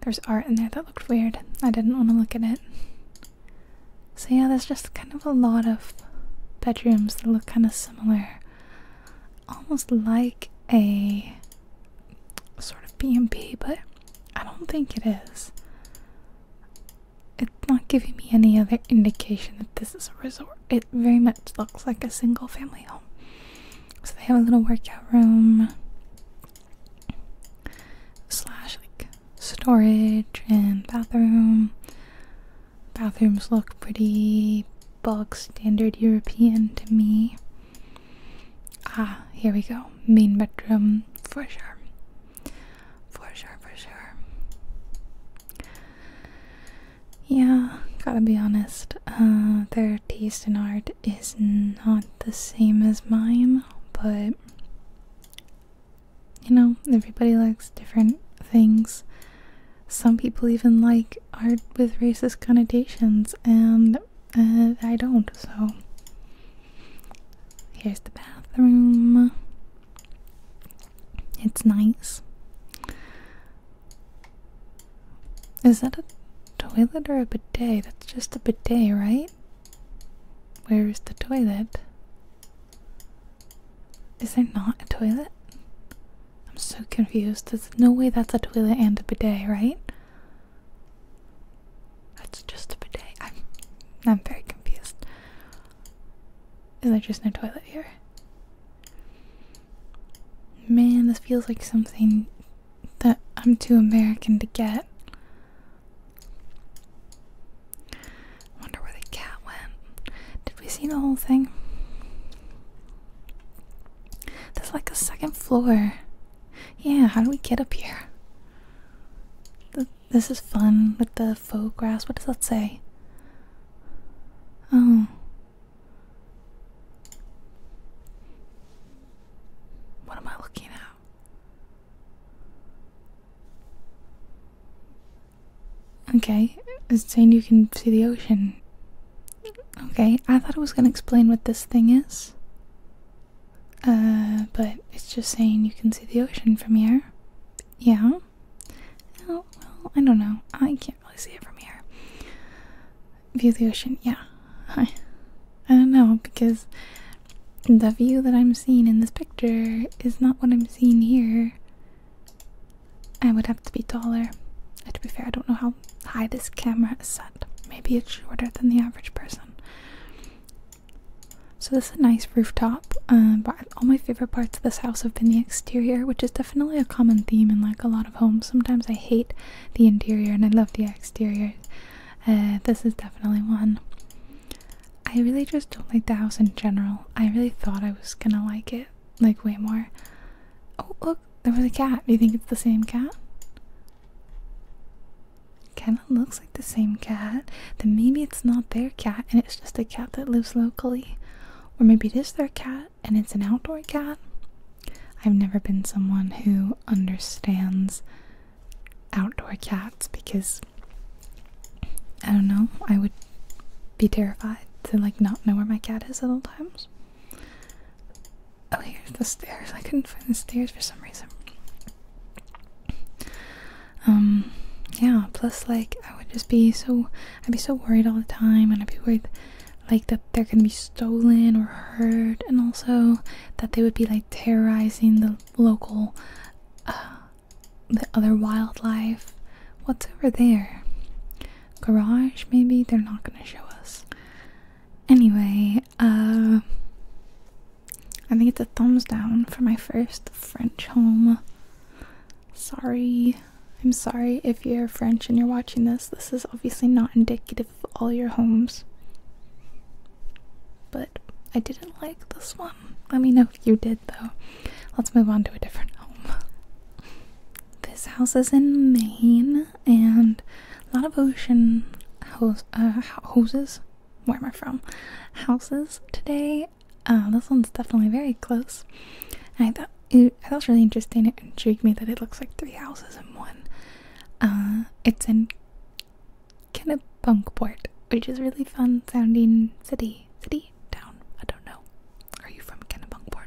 There's art in there that looked weird. I didn't want to look at it. So, yeah, there's just kind of a lot of bedrooms that look kind of similar. Almost like a sort of B&B, but I don't think it is. It's not giving me any other indication that this is a resort. It very much looks like a single family home. So they have a little workout room slash like storage and bathroom. Bathrooms look pretty bog standard European to me. Ah, here we go. Main bedroom for sure. For sure, for sure. Yeah, gotta be honest. Uh, their taste in art is not the same as mine, but you know, everybody likes different things. Some people even like art with racist connotations, and uh, I don't, so. Here's the bathroom. It's nice. Is that a toilet or a bidet? That's just a bidet, right? Where's the toilet? Is there not a toilet? I'm so confused. There's no way that's a toilet and a bidet, right? That's just a bidet. I'm I'm very confused. Is there just no toilet here? Man, this feels like something that I'm too American to get. Wonder where the cat went. Did we see the whole thing? There's like a second floor. Yeah, how do we get up here? this is fun with the faux grass. What does that say? Oh. What am I looking at? Okay, it's saying you can see the ocean. Okay, I thought it was going to explain what this thing is. Uh, but it's just saying you can see the ocean from here. Yeah. Oh, well, I don't know. I can't really see it from here. View the ocean, yeah. I, I don't know, because the view that I'm seeing in this picture is not what I'm seeing here. I would have to be taller. to be fair, I don't know how high this camera is set. Maybe it's shorter than the average person. So this is a nice rooftop, um, but all my favorite parts of this house have been the exterior, which is definitely a common theme in like a lot of homes. Sometimes I hate the interior and I love the exterior. Uh, this is definitely one. I really just don't like the house in general. I really thought I was gonna like it, like way more. Oh look, there was a cat. Do you think it's the same cat? Kinda looks like the same cat. Then maybe it's not there cat and it's just a cat that lives locally. Or maybe it is their cat and it's an outdoor cat. I've never been someone who understands outdoor cats because I don't know, I would be terrified to like not know where my cat is at all times. Oh, here's the stairs. I couldn't find the stairs for some reason. Um, yeah, plus like I would just be so I'd be so worried all the time and I'd be worried like that they're gonna be stolen or hurt and also that they would be like terrorizing the local uh the other wildlife. What's over there? Garage maybe? They're not gonna show us. Anyway, uh I think it's a thumbs down for my first French home. Sorry. I'm sorry if you're French and you're watching this. This is obviously not indicative of all your homes. But I didn't like this one. Let me know if you did, though. Let's move on to a different home. This house is in Maine, and a lot of ocean uh, houses. Where am I from? Houses today, uh, this one's definitely very close. I thought it, I thought it was really interesting. It intrigued me that it looks like three houses in one. Uh, it's in Kennebunkport, which is really fun sounding city. City? Town? I don't know. Are you from Kennebunkport?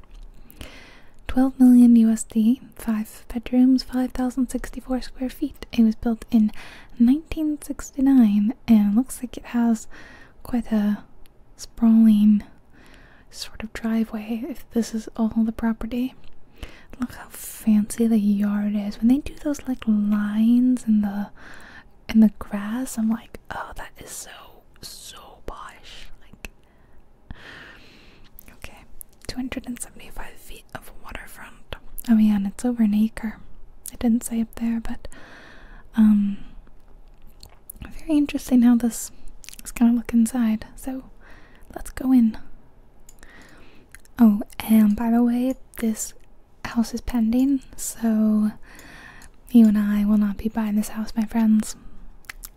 12 million USD, 5 bedrooms, 5,064 square feet. It was built in 1969 and looks like it has quite a sprawling sort of driveway if this is all the property. Look how fancy the yard is. When they do those like lines in the in the grass, I'm like, oh that is so so posh. Like Okay. Two hundred and seventy-five feet of waterfront. Oh yeah, it's over an acre. It didn't say up there, but um, very interesting how this is gonna look inside. So let's go in. Oh, and by the way, this house is pending, so you and I will not be buying this house, my friends.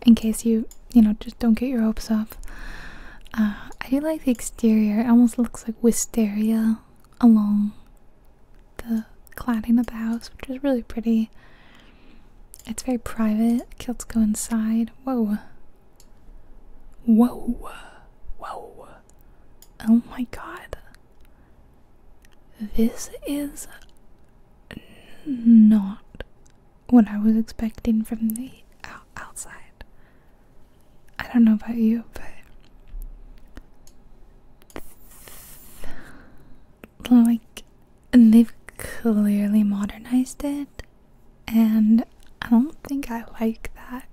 In case you, you know, just don't get your hopes up. Uh, I do like the exterior. It almost looks like wisteria along the cladding of the house, which is really pretty. It's very private. Kilts go inside. Whoa. Whoa. Whoa. Oh my god. This is not what I was expecting from the outside. I don't know about you, but like and they've clearly modernized it and I don't think I like that.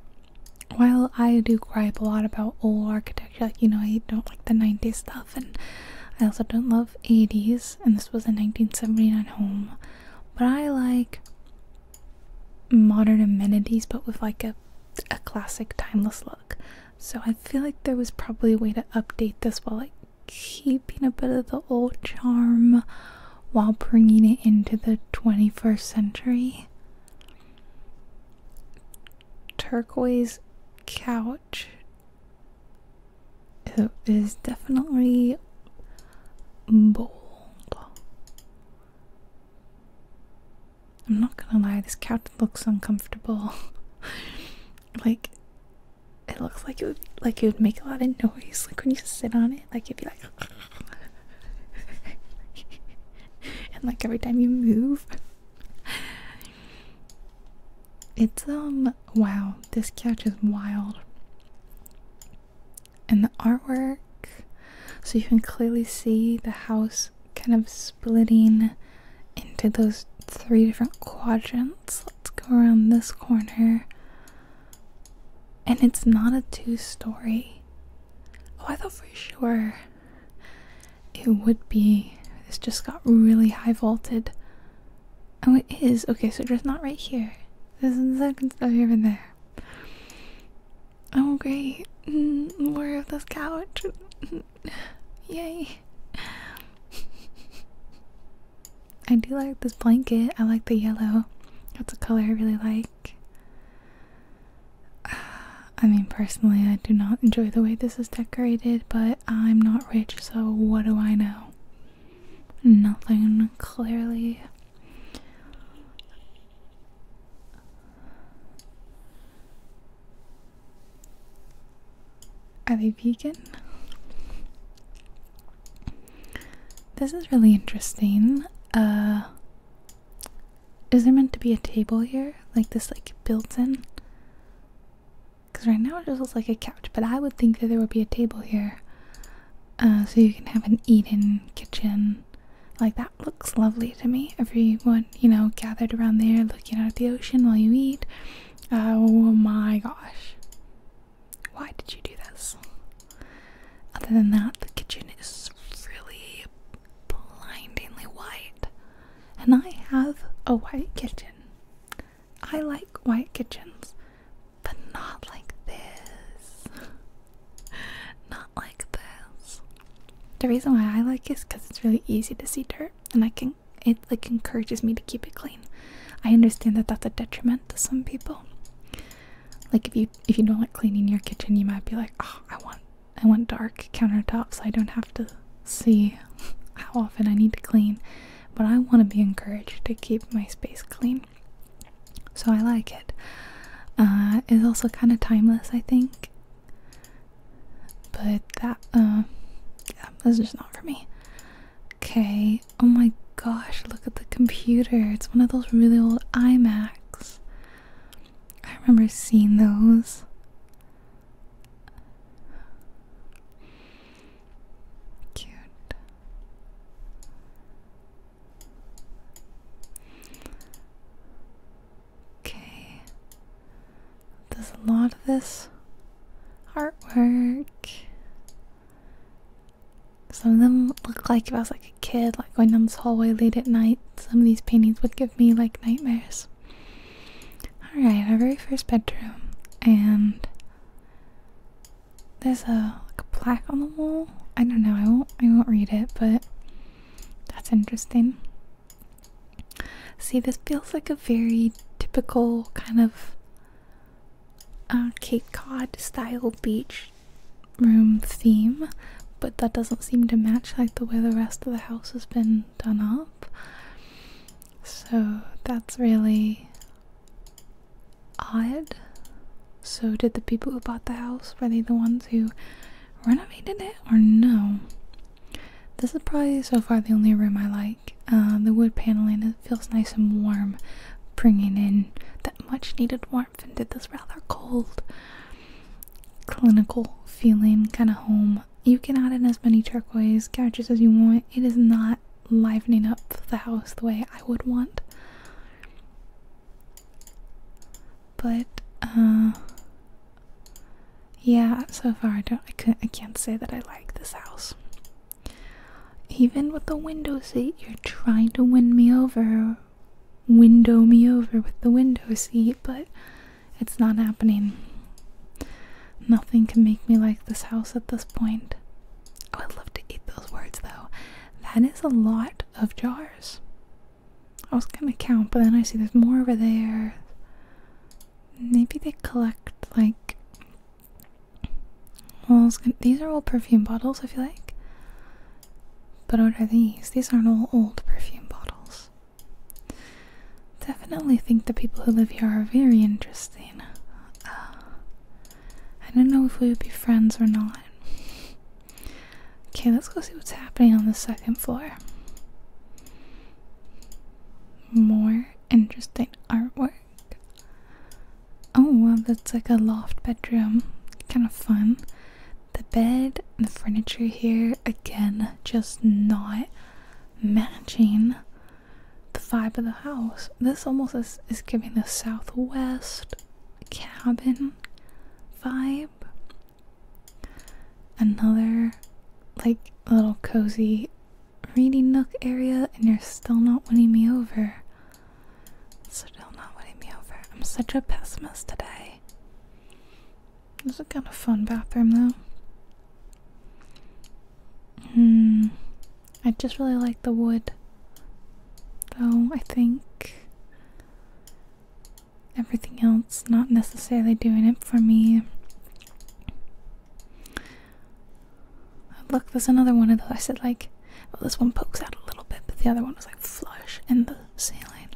While I do gripe a lot about old architecture, you know, I don't like the 90s stuff and I also don't love 80s and this was a 1979 home. But I like modern amenities but with like a a classic timeless look. So I feel like there was probably a way to update this while keeping a bit of the old charm while bringing it into the 21st century. Turquoise couch it is definitely bold. I'm not gonna lie, this couch looks uncomfortable. (laughs) like, it looks like it would like it would make a lot of noise. Like when you sit on it, like you would be like, (laughs) and like every time you move, it's um wow. This couch is wild, and the artwork. So you can clearly see the house kind of splitting into those three different quadrants. Let's go around this corner. And it's not a two story. Oh, I thought for sure it would be. This just got really high vaulted. Oh, it is. Okay, so just not right here. This is the second story over there. Oh, great. Where's mm, this couch. Yay. I do like this blanket. I like the yellow. That's a color I really like. (sighs) I mean, personally, I do not enjoy the way this is decorated, but I'm not rich, so what do I know? Nothing, clearly. Are they vegan? This is really interesting. Uh, is there meant to be a table here? Like this like built-in? Cause right now it just looks like a couch, but I would think that there would be a table here. Uh, so you can have an eat-in kitchen. Like that looks lovely to me. Everyone you know, gathered around there looking out at the ocean while you eat. Oh my gosh. Why did you do this? Other than that, the kitchen is really blindingly white. And I have a white kitchen. I like white kitchens, but not like this. (laughs) Not like this. The reason why I like it is because it's really easy to see dirt and I can it like encourages me to keep it clean. I understand that that's a detriment to some people. Like if you if you don't like cleaning your kitchen, you might be like, oh, I want I want dark countertops so I don't have to see (laughs) how often I need to clean. But I want to be encouraged to keep my space clean. So I like it. Uh, it's also kind of timeless, I think. But that, uh, yeah, that's just not for me. Okay, oh my gosh, look at the computer. It's one of those really old iMacs. I remember seeing those. Cute. Okay. There's a lot of this artwork. Some of them look like if I was like a kid, like going down this hallway late at night. Some of these paintings would give me like nightmares. Alright, our very first bedroom. And there's a, like a plaque on the wall. I don't know, I won't I won't read it, but that's interesting. See, this feels like a very typical kind of uh, Cape Cod style beach room theme, but that doesn't seem to match like the way the rest of the house has been done up. So that's really odd. So, did the people who bought the house were they the ones who renovated it or no. This is probably so far the only room I like. Uh, the wood paneling it feels nice and warm, bringing in that much needed warmth into this rather cold, clinical feeling kind of home. You can add in as many turquoise couches as you want. It is not livening up the house the way I would want. But uh, yeah, so far I don't I can't I can't say that I like this house. Even with the window seat, you're trying to win me over, window me over with the window seat, but it's not happening. Nothing can make me like this house at this point. Oh, I'd love to eat those words though. That is a lot of jars. I was gonna count, but then I see there's more over there. Maybe they collect like. Well, these are all perfume bottles, if you like. But what are these? These aren't all old perfume bottles. Definitely think the people who live here are very interesting. Uh, I don't know if we would be friends or not. Okay, let's go see what's happening on the second floor more interesting artwork. Oh, well, that's like a loft bedroom. Kind of fun. The bed and the furniture here, again, just not matching the vibe of the house. This almost is, is giving the southwest cabin vibe another like little cozy reading nook area and you're still not winning me over. Still not winning me over. I'm such a pessimist today. This is a kind of fun bathroom though. Hmm. I just really like the wood. Though I think everything else not necessarily doing it for me. Look, there's another one of those. I said, like, this one pokes out a little bit, but the other one was like flush in the ceiling.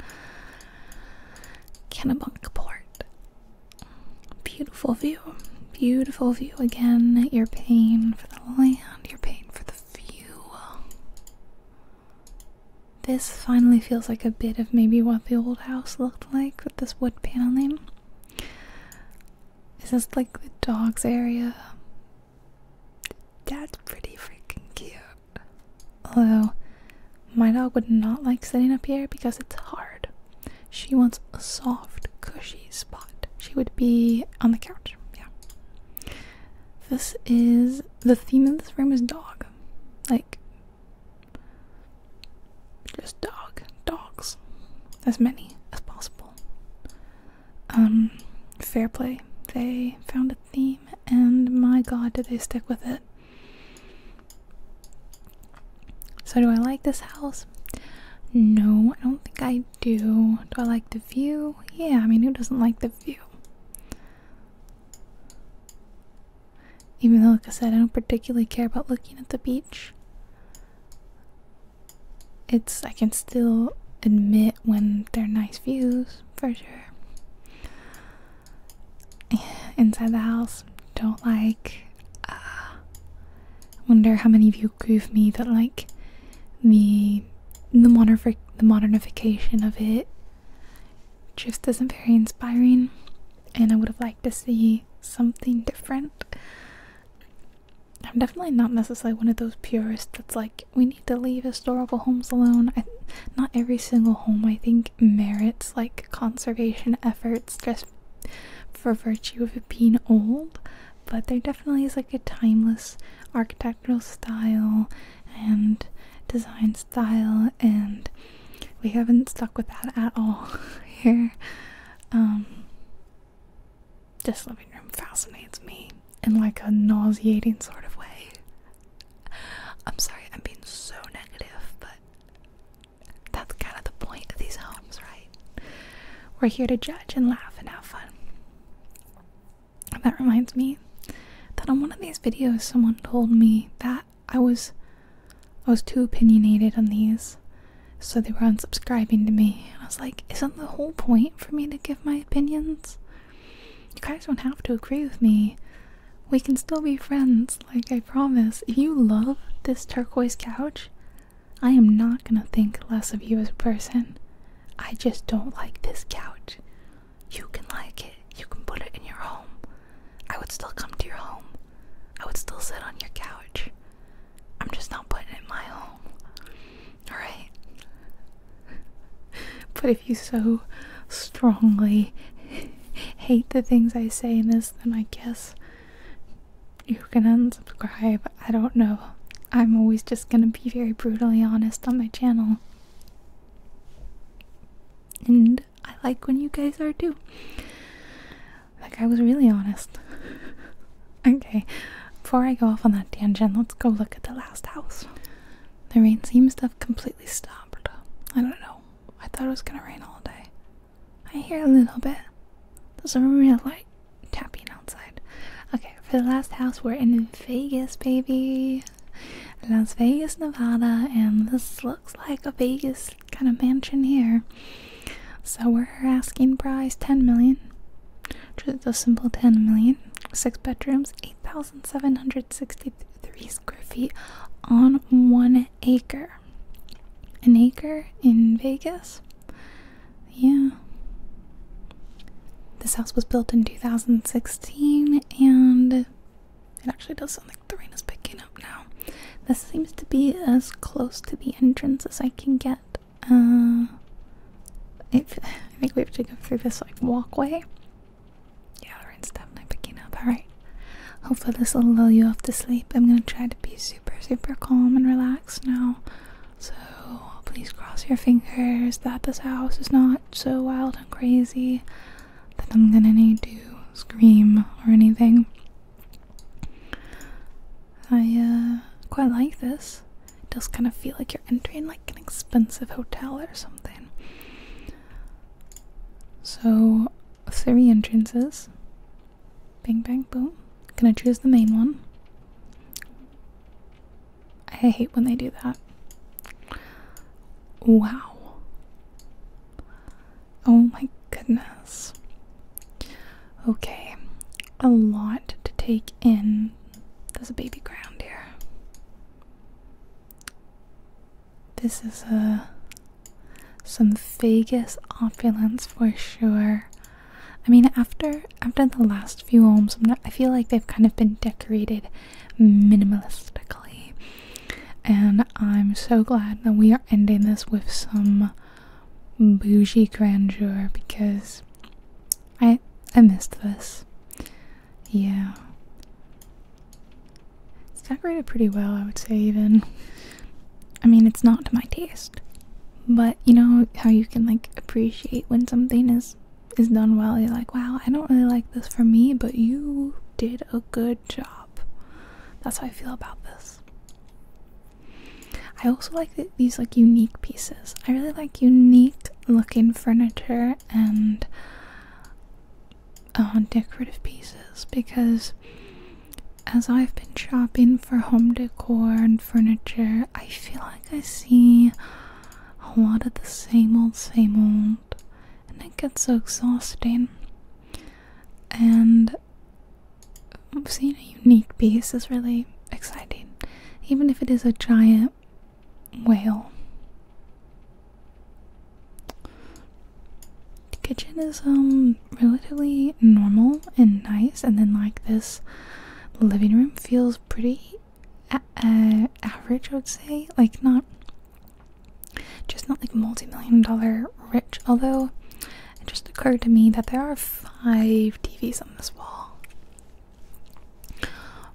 Kennebunkport. Beautiful view. Beautiful view again. You're paying for the land, you're paying for the fuel. This finally feels like a bit of maybe what the old house looked like with this wood paneling. Is this like the dog's area? That's pretty freaking cute. Although, my dog would not like sitting up here because it's hard. She wants a soft, cushy spot. She would be on the couch. Yeah. This is the theme of this room is dog. Like, just dog. Dogs. As many as possible. Um, fair play. They found a theme, and my god, did they stick with it. So, do I like this house? No, I don't think I do. Do I like the view? Yeah, I mean, who doesn't like the view? Even though, like I said, I don't particularly care about looking at the beach. It's, I can still admit when they're nice views, for sure. (sighs) Inside the house, don't like. Uh, wonder how many of you agree with me that, like, the the, moder the modernification of it just isn't very inspiring and i would have liked to see something different. I'm definitely not necessarily one of those purists that's like, we need to leave historical homes alone. not every single home, I think, merits like conservation efforts just for virtue of it being old, but there definitely is like a timeless architectural style and design style and we haven't stuck with that at all (laughs) here. Um, this living room fascinates me in like a nauseating sort of way. I'm sorry, I'm being so negative, but that's kind of the point of these homes, right? We're here to judge and laugh and have fun. And that reminds me that on one of these videos, someone told me that I, was I was too opinionated on these, so they were unsubscribing to me. I was like, isn't the whole point for me to give my opinions? You guys don't have to agree with me. We can still be friends, like I promise. If you love this turquoise couch, I am not gonna think less of you as a person. I just don't like this couch. You can like it. You can put it in your home. I would still come to your home. I would still sit on your couch. I'm just not putting it in my home. Alright? (laughs) but if you so strongly (laughs) hate the things I say in this, then I guess you can unsubscribe. I don't know. I'm always just gonna be very brutally honest on my channel. And I like when you guys are too. Like I was really honest. (laughs) okay, before I go off on that tangent, let's go look at the last house. The rain seems to have completely stopped. I don't know. I thought it was gonna rain all day. I hear a little bit. There's a real light tapping outside. Okay, for the last house, we're in Vegas, baby. Las Vegas, Nevada, and this looks like a Vegas kind of mansion here. So we're asking price 10 million. Just a simple ten million, six bedrooms, 8,763 square feet on one acre. An acre in Vegas? Yeah. This house was built in 2016 and it actually does something the rain is picking up now. This seems to be as close to the entrance as I can get. Uh, I think we have to go through this like walkway. Yeah, the rain's definitely picking up. Alright. Hopefully this will lull you off to sleep. I'm gonna try to be super, super calm and relaxed now. So please cross your fingers that this house is not so wild and crazy that I'm gonna need to scream or anything. I uh, quite like this. It does kind of feel like you're entering like an expensive hotel or something. So three entrances. Bang, bang boom. Gonna choose the main one. I hate when they do that. Wow. Oh my goodness. Okay, a lot to take in. There's a baby ground here. This is a uh, some Vegas opulence for sure. I mean, after after the last few homes, I feel like they've kind of been decorated minimalistically, and I'm so glad that we are ending this with some bougie grandeur because I I missed this. Yeah. It's decorated pretty well, I would say even. I mean, it's not to my taste. But you know how you can like appreciate when something is is done well. You're like, "Wow, I don't really like this for me, but you did a good job. That's how I feel about this. I also like these like unique pieces. I really like unique looking furniture and uh, decorative pieces because as I've been shopping for home decor and furniture, I feel like I see a lot of the same old, same old, and it gets so exhausting. And seeing a unique piece is really exciting, even if it is a giant whale. The kitchen is um relatively normal and nice, and then like this living room feels pretty average, I would say. Like not just not like multi-million dollar rich, although it just occurred to me that there are five TVs on this wall.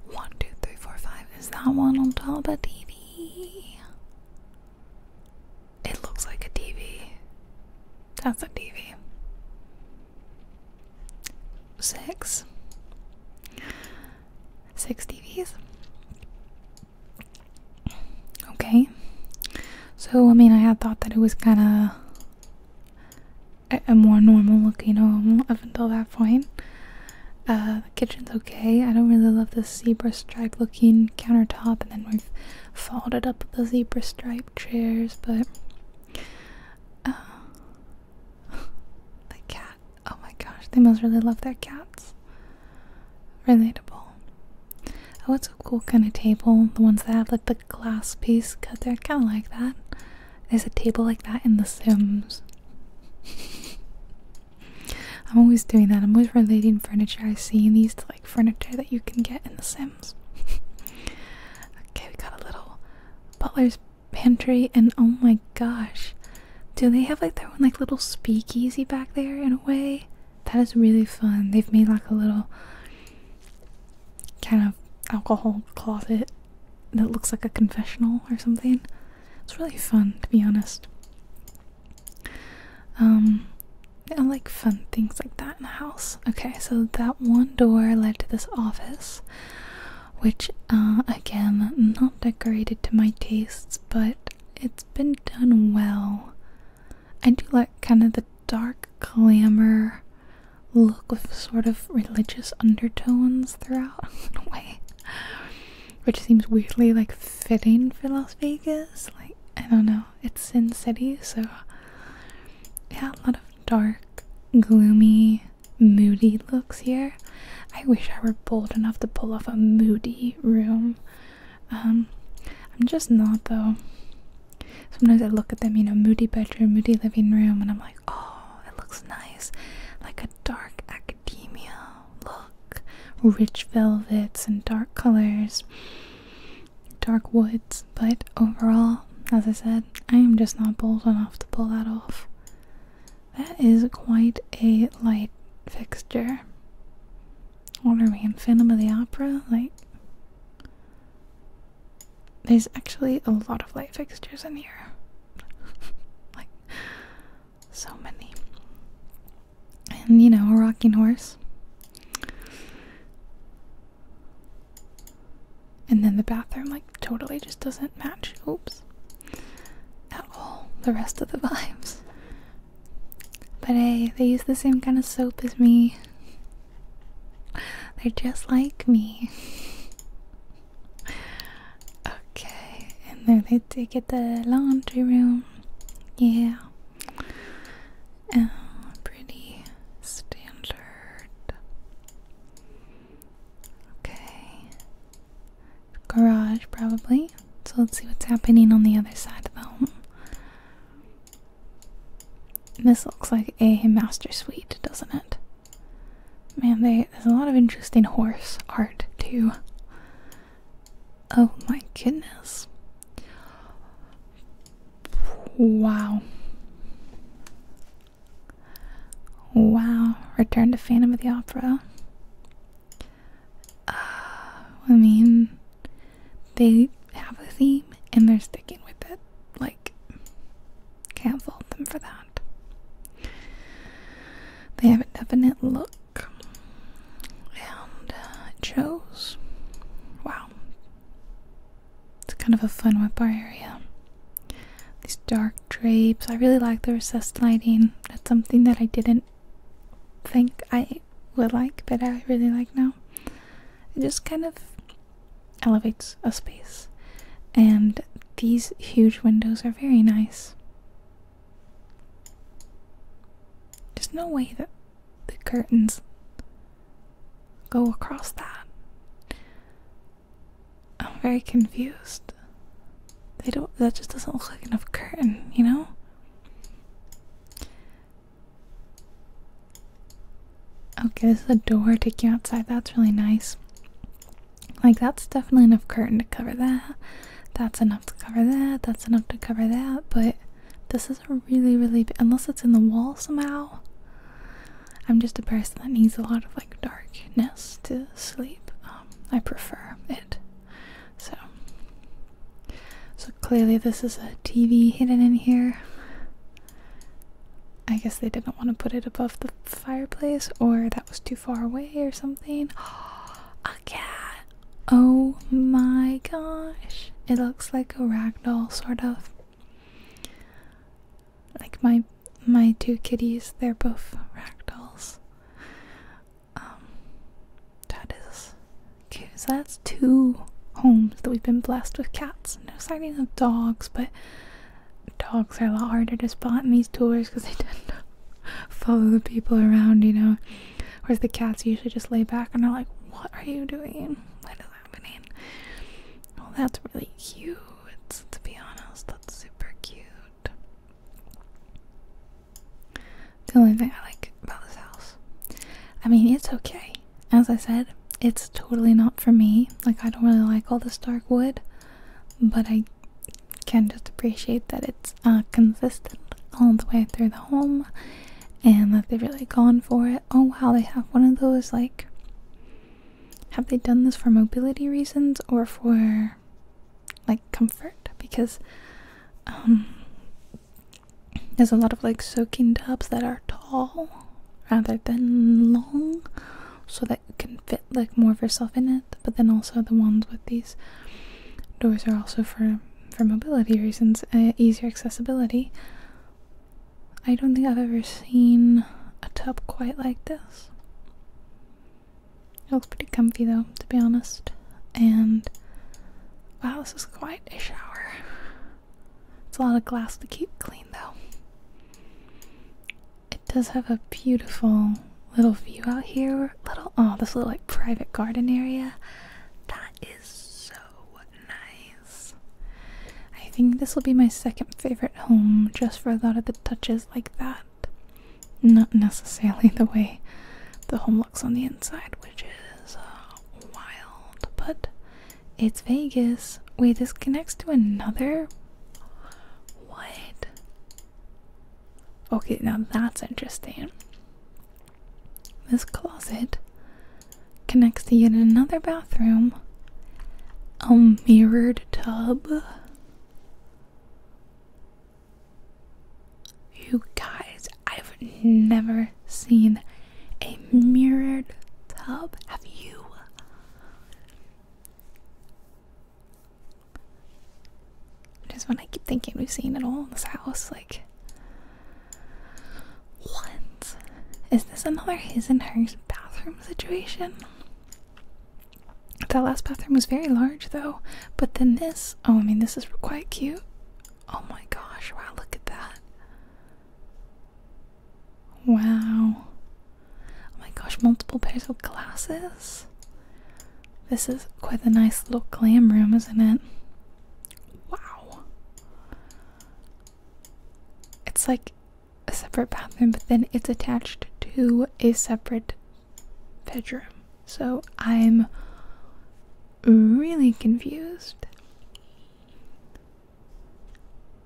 One, two, three, four, five. Is that one on top of a TV? It looks like a TV. That's a TV. Six. Six TVs. Okay. So, I mean, I had thought that it was kind of a, more normal looking home up until that point. Uh, the kitchen's okay. I don't really love the zebra stripe looking countertop, and then we've folded up the zebra stripe chairs, but. Uh, (laughs) the cat. Oh my gosh, they must really love their cats relatable. Oh, it's a cool kind of table. The ones that have like the glass piece cut there, kind of like that. There's a table like that in The Sims. (laughs) I'm always doing that. I'm always relating furniture I see in these to like furniture that you can get in The Sims. (laughs) okay, we got a little butler's pantry, and oh my gosh, do they have like their own like little speakeasy back there in a way? That is really fun. They've made like a little kind of alcohol closet that looks like a confessional or something. It's really fun, to be honest. Um, I like fun things like that in the house. Okay, so that one door led to this office, which, uh, again, not decorated to my tastes, but it's been done well. I do like kind of the dark glamour look with sort of religious undertones throughout (laughs) in a way. Which seems weirdly like fitting for Las Vegas. Like I don't know. It's Sin City, so yeah, a lot of dark, gloomy, moody looks here. I wish I were bold enough to pull off a moody room. Um, I'm just not though. Sometimes I look at them, you know, moody bedroom, moody living room, and I'm like, oh, it looks nice. Like a dark academia look. Rich velvets and dark colors, dark woods. But overall, as I said, I am just not bold enough to pull that off. That is quite a light fixture. What are we in Phantom of the Opera? Like, there's actually a lot of light fixtures in here. (laughs) like, so many. And you know, a rocking horse. And then the bathroom, like, totally just doesn't match. Oops. At all. The rest of the (laughs) vibes. But hey, they use the same kind of soap as me. They're just like me. okay, and then they take it the laundry room. Yeah. Oh, pretty standard. Okay. Garage, probably. So let's see what's happening on the other side of the home. This looks like a master suite, doesn't it? Man, there's a lot of interesting horse art too. Oh my goodness. Wow. Wow. Return to Phantom of the Opera. Uh, I mean, they have a theme and they're sticking with it. Like, can't fault them for that. They have a definite look and uh, it shows. Wow. It's kind of a fun whip bar area. These dark drapes. I really like the recessed lighting. That's something that I didn't think I I would like, but I really like now. It just kind of elevates a space. And these huge windows are very nice. There's no way that the curtains go across that. I'm very confused. They don't that just doesn't look like enough curtain, you know? Okay, this is a door taking outside. That's really nice. Like, that's definitely enough curtain to cover that. That's enough to cover that. That's enough to cover that. But this is a really, really unless it's in the wall somehow. I'm just a person that needs a lot of like darkness to sleep. Um, I prefer it. So so clearly, this is a TV hidden in here. I guess they didn't want to put it above the fireplace, or that was too far away, or something. (gasps) a cat! Oh my gosh! It looks like a ragdoll, sort of. Like my my two kitties, they're both ragdolls. Um, that is Cause that's two homes that we've been blessed with cats. No sightings of dogs, but dogs are a lot harder to spot in these tours because they (laughs) don't follow the people around, you know. Whereas the cats usually just lay back and are like, "What are you doing? What is happening?" Well, that's really cute. To be honest, that's super cute. The only thing I like about this house. I mean, it's okay as I said, it's totally not for me. Like, I don't really like all this dark wood, but I can just appreciate that it's uh, consistent all the way through the home and that they've really gone for it. Oh wow, they have one of those, like, have they done this for mobility reasons or for like comfort? Because um, there's a lot of like soaking tubs that are tall rather than long so that you can fit like more of yourself in it. But then also the ones with these doors are also for for mobility reasons, uh, easier accessibility. I don't think I've ever seen a tub quite like this. It looks pretty comfy though, to be honest. And wow, this is quite a shower. It's a lot of glass to keep clean though. It does have a beautiful little view out here. Little oh, this little like private garden area. That is so nice. I think this will be my second favorite home just for a lot of the touches like that. Not necessarily the way the home looks on the inside, which is uh, wild, but it's Vegas. Wait, this connects to another? What? Okay, now that's interesting. This closet connects to yet another bathroom. A mirrored tub. You guys, I've never seen a mirrored tub. Have you? Just when I keep thinking we've seen it all in this house, like what? Is this another his and hers bathroom situation? That last bathroom was very large though, but then this, oh, I mean, this is quite cute. Oh my gosh, wow, look at that. Wow. Oh my gosh, multiple pairs of glasses? This is quite a nice little glam room, isn't it? Wow. It's like a separate bathroom, but then it's attached to a separate bedroom. So I'm really confused.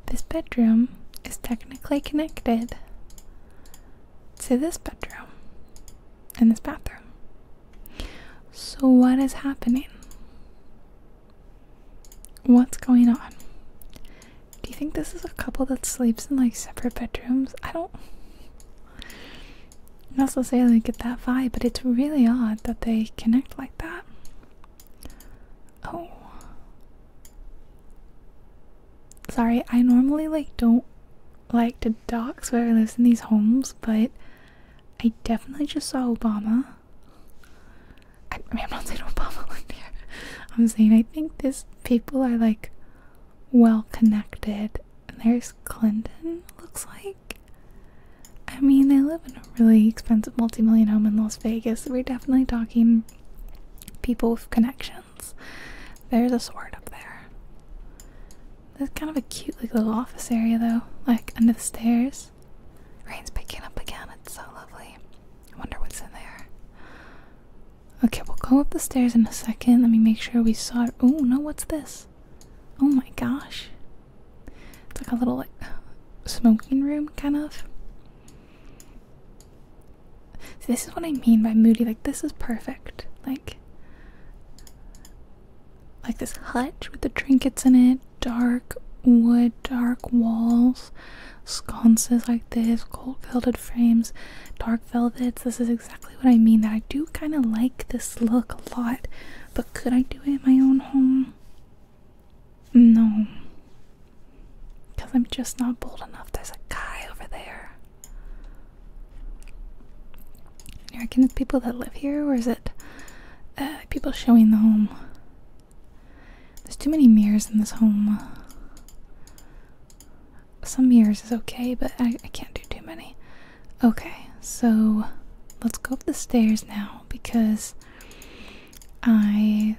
This bedroom is technically connected to this bedroom and this bathroom. So, what is happening? What's going on? Do you think this is a couple that sleeps in like separate bedrooms? I don't necessarily get that vibe, but it's really odd that they connect like that. Oh. Sorry, I normally like don't like to docs where I live in these homes, but I definitely just saw Obama. I, mean, I'm not saying (laughs) Obama lived here. I'm saying I think these people are like well connected. And there's Clinton, looks like. I mean, they live in a really expensive multi-million home in Las Vegas. we're definitely talking people with connections. There's a sword up there. That's kind of a cute like little office area though, like under the stairs. Rain's picking up again. It's so lovely. I wonder what's in there. Okay, we'll go up the stairs in a second. Let me make sure we saw it. Oh no, what's this? Oh my gosh. It's like a little like, smoking room, kind of. See, this is what I mean by moody. Like, this is perfect. Like, like this hutch with the trinkets in it, dark wood, dark walls, sconces like this, gold gilded frames, dark velvets. This is exactly what I mean. That I do kind of like this look a lot, but could I do it in my own home? No. Because I'm just not bold enough. There's a guy over there. You reckon it's people that live here, or is it uh, people showing the home? There's too many mirrors in this home. Some mirrors is okay, but I can't do too many. Okay, so let's go up the stairs now because I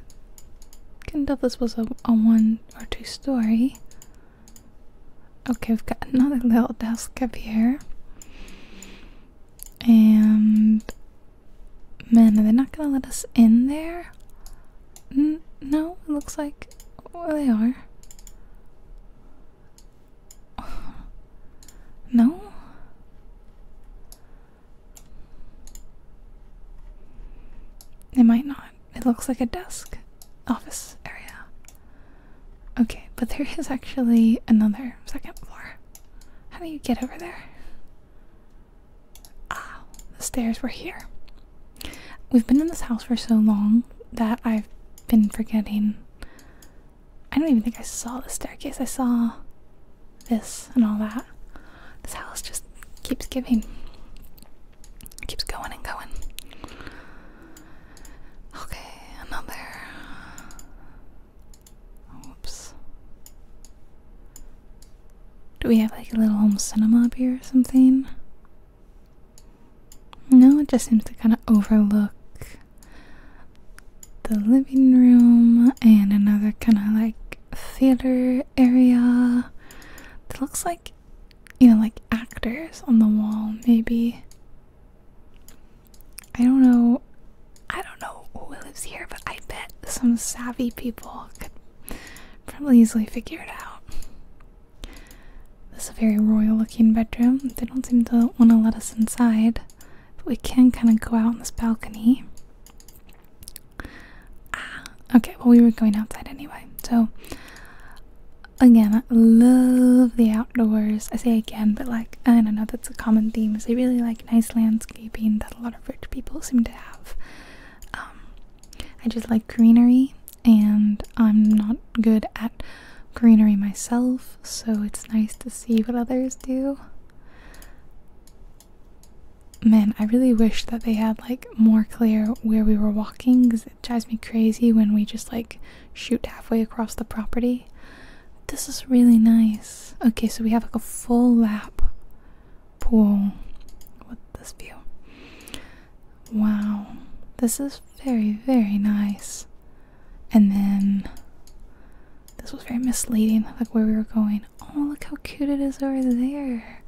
can not tell this was a, one or two story. Okay, we've got another little desk up here. And man, are they not gonna let us in there? no, it looks like they are. (sighs) No? It might not. It looks like a desk office area. Okay, but there is actually another second floor. How do you get over there? Ah, the stairs were here. We've been in this house for so long that I've been forgetting I don't even think I saw the staircase. I saw this and all that. This house just keeps giving. keeps going and going. Okay, another. Oops. Do we have like a little home cinema up here or something? No, it just seems to kind of overlook the living room and another kind of like theater area that looks like you know like actors on the wall maybe i don't know i don't know who lives here but i bet some savvy people could probably easily figure it out this is a very royal looking bedroom they don't seem to want to let us inside but we can kind of go out on this balcony. Ah, okay, well, we were going outside anyway. So, again, I love the outdoors. I say again, but like, I don't know, that's a common theme. Is they really like nice landscaping that a lot of rich people seem to have. Um, I just like greenery, and I'm not good at greenery myself, so it's nice to see what others do. Man, I really wish that they had like more clear where we were walking because it drives me crazy when we just like shoot halfway across the property. This is really nice. Okay, so we have like a full lap pool with this view. Wow, this is very, very nice. And then this was very misleading, like where we were going. Oh, look how cute it is over there.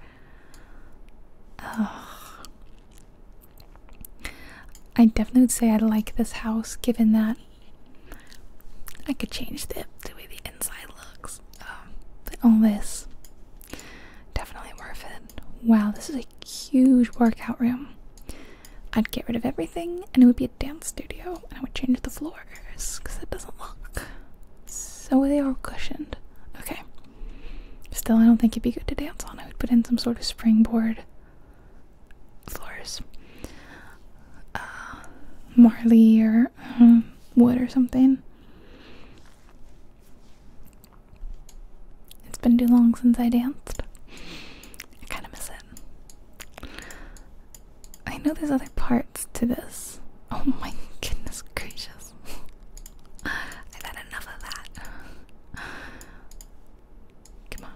I definitely would say I would like this house, given that I could change the, the way the inside looks. Um, all this, definitely worth it. Wow, this is a huge workout room. I'd get rid of everything, and it would be a dance studio, and I would change the floor because it doesn't look So they are cushioned. Okay. Still, I don't think it'd be good to dance on. I would put in some sort of springboard floors. Uh, marley or um, wood or something. It's been too long since I danced. I kind of miss it. I know there's other parts to this. Oh my goodness gracious. (laughs) I've had enough of that. Come on.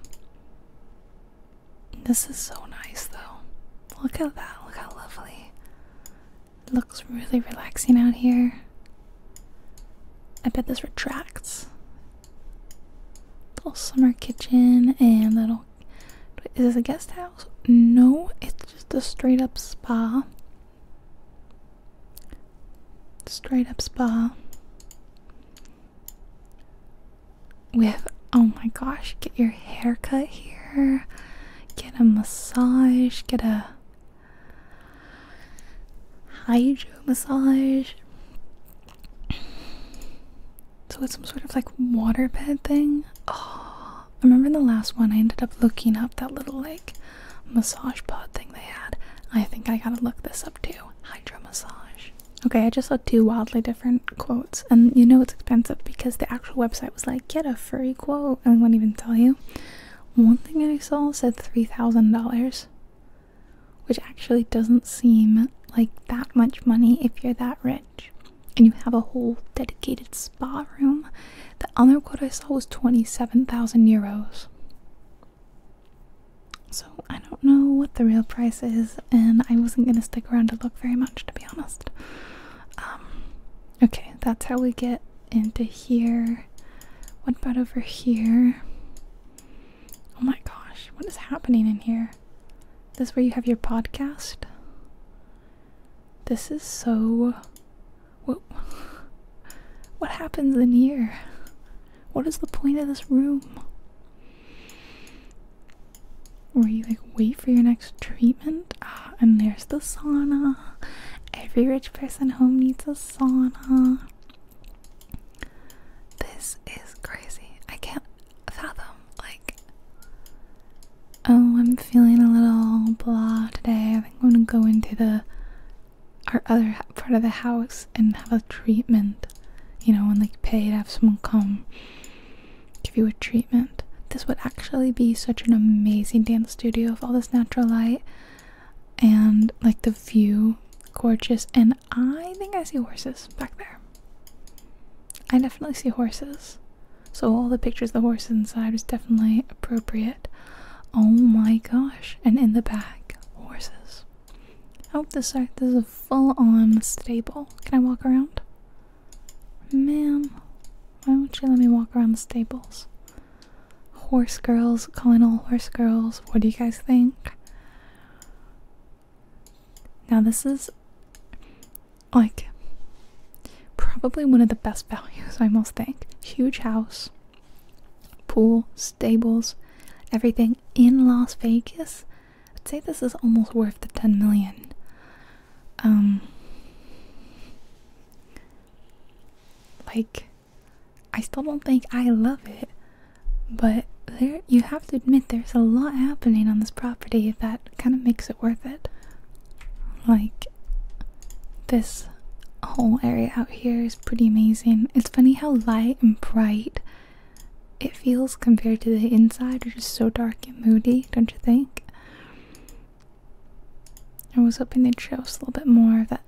This is so nice though. Look at that. Look how lovely. It looks really relaxing out here. I bet this retracts. Little summer kitchen and little is this a guest house? No, it's just a straight up spa. Straight up spa. With, oh my gosh, get your hair cut here, get a massage, get a hydro massage, so it's some sort of like waterbed thing. Oh, I remember in the last one I ended up looking up that little like massage pod thing they had. I think I gotta look this up too. Hydro massage. Okay, I just saw two wildly different quotes, and you know it's expensive because the actual website was like, get a furry quote, and I wouldn't even tell you. One thing I saw said $3,000, which actually doesn't seem like that much money if you're that rich. And you have a whole dedicated spa room. The other quote I saw was 27,000 euros. So I don't know what the real price is, and I wasn't going to stick around to look very much, to be honest. Um, okay, that's how we get into here. What about over here? Oh my gosh, what is happening in here? This where you have your podcast? This is so. (laughs) What happens in here? What is the point of this room? Where you like wait for your next treatment? Ah, and there's the sauna. Every rich person home needs a sauna. This is crazy. I can't fathom like, oh, I'm feeling a little blah today. I think I'm gonna go into the our other part of the house and have a treatment. You know, and like pay to have someone come give you a treatment. This would actually be such an amazing dance studio with all this natural light and like the view, gorgeous. And I think I see horses back there. I definitely see horses. So all the pictures of the horses inside was definitely appropriate. Oh my gosh. And in the back, horses. Oh, this, are, this is a full-on stable. Can I walk around? Ma'am, why won't you let me walk around the stables? Horse girls, calling all horse girls. What do you guys think? Now, this is like probably one of the best values, I must think. Huge house, pool, stables, everything in Las Vegas. I'd say this is almost worth the 10 million. Um, like, I still don't think I love it, but there you have to admit there's a lot happening on this property that kind of makes it worth it. Like, this whole area out here is pretty amazing. It's funny how light and bright it feels compared to the inside, which is so dark and moody, don't you think? I was hoping they'd show us a little bit more of that.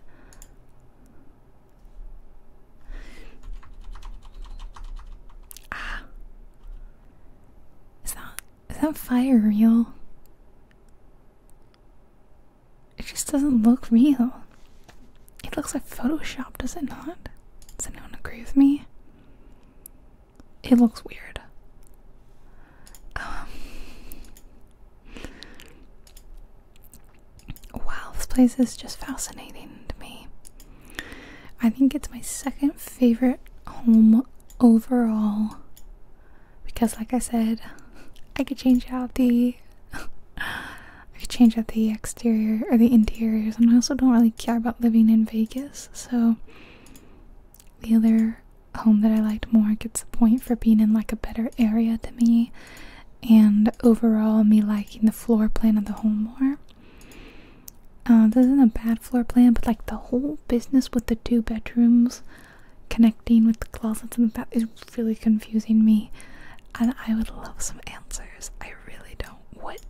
Ah. Is that is that fire real? It just doesn't look real. It looks like Photoshop, does it not? Does anyone agree with me? It looks weird. Um, wow, this place is just fascinating to me. I think it's my second favorite home overall because like I said I could change out the I could change out the exterior or the interiors and I also don't really care about living in Vegas so the other home that I liked more gets a point for being in like a better area to me and overall me liking the floor plan of the home more uh, this isn't a bad floor plan, but like the whole business with the two bedrooms connecting with the closets and that is really confusing me. And I would love some answers. I really don't. What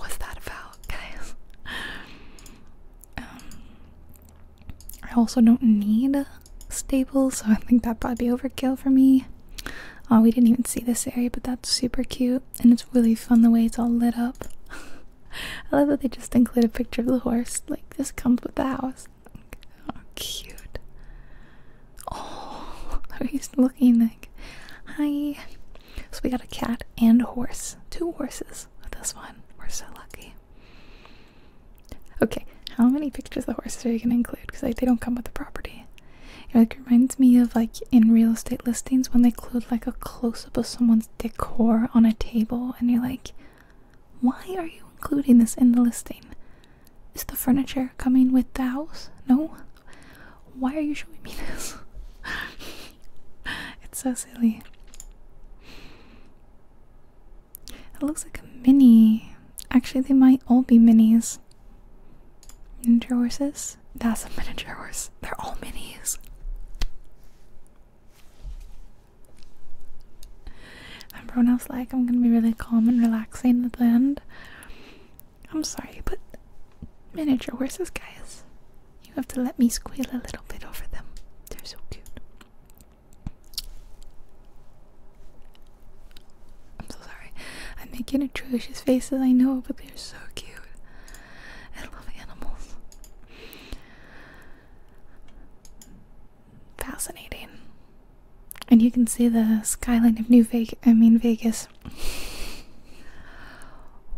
was that about, (laughs) guys? Um, I also don't need staples, so I think that'd probably be overkill for me. Oh, we didn't even see this area, but that's super cute and it's really fun the way it's all lit up. (laughs) I love that they just include a picture of the horse. Like this comes with the house. cute. Oh, he's (laughs) looking like, hi. So we got a cat and a horse. Two horses with this one. We're so lucky. Okay, how many pictures of the horses are you gonna include? Because like they don't come with the property. It reminds me of like in real estate listings when they include like a close looks up someone's decor on a table and you're like, why are you including this in the listing? Is the furniture coming with the house? No? Why are you showing me this? (laughs) it's so silly. It looks like a mini. Actually, they might all be minis. Miniature horses. That's a miniature horse. They're all minis. And Bruno's like, I'm gonna be really calm and relaxing at the end. I'm sorry, but miniature horses, guys, you have to let me squeal a little bit over them. They're so cute. I'm so sorry. I'm making atrocious faces, I know, but they're so cute. I love animals. Fascinating. And you can see the skyline of New Vegas, I mean Vegas.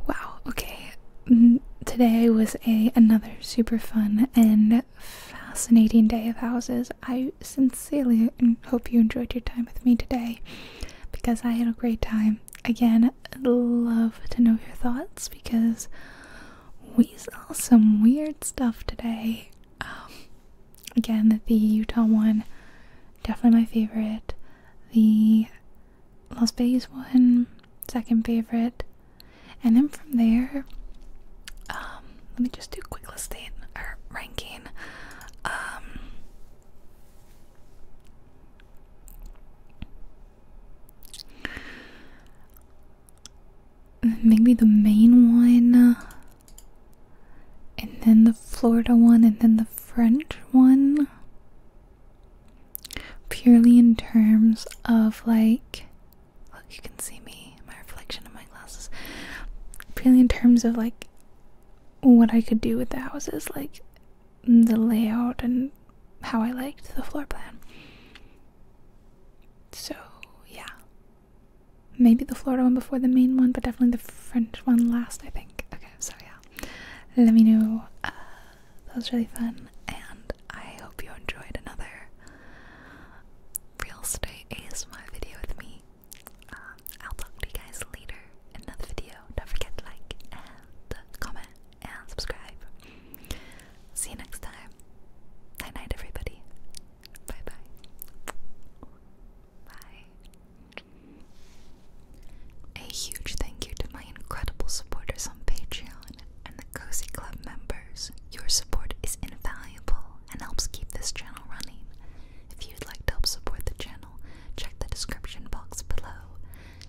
Wow, okay. Today was a another super fun and fascinating day of houses. I sincerely hope you enjoyed your time with me today because I had a great time. Again, I'd love to know your thoughts because we saw some weird stuff today. Um, again, the Utah one, definitely my favorite. The Las Vegas one, second favorite. And then from there, um, let me just do quick listing or ranking. Um, Maybe the Maine one, and then the Florida one, and then the French one. Purely in terms of like, look, you can see me, my reflection in my glasses. Purely in terms of like what I could do with the houses, like the layout and how I liked the floor plan. So, yeah. Maybe the Florida one before the main one, but definitely the French one last, I think. Okay, so yeah. Let me know. Uh, that was really fun, and I hope you enjoyed another real estate my video with me. Um, I'll talk to you guys later in another video. Don't forget to like and comment and subscribe. See you next time. Night night, everybody. Bye bye. Bye. A huge thank you to my incredible supporters on Patreon and the Cozy Club members. Your support is invaluable and helps keep this channel running. If you'd like to help support the channel, check the description box below.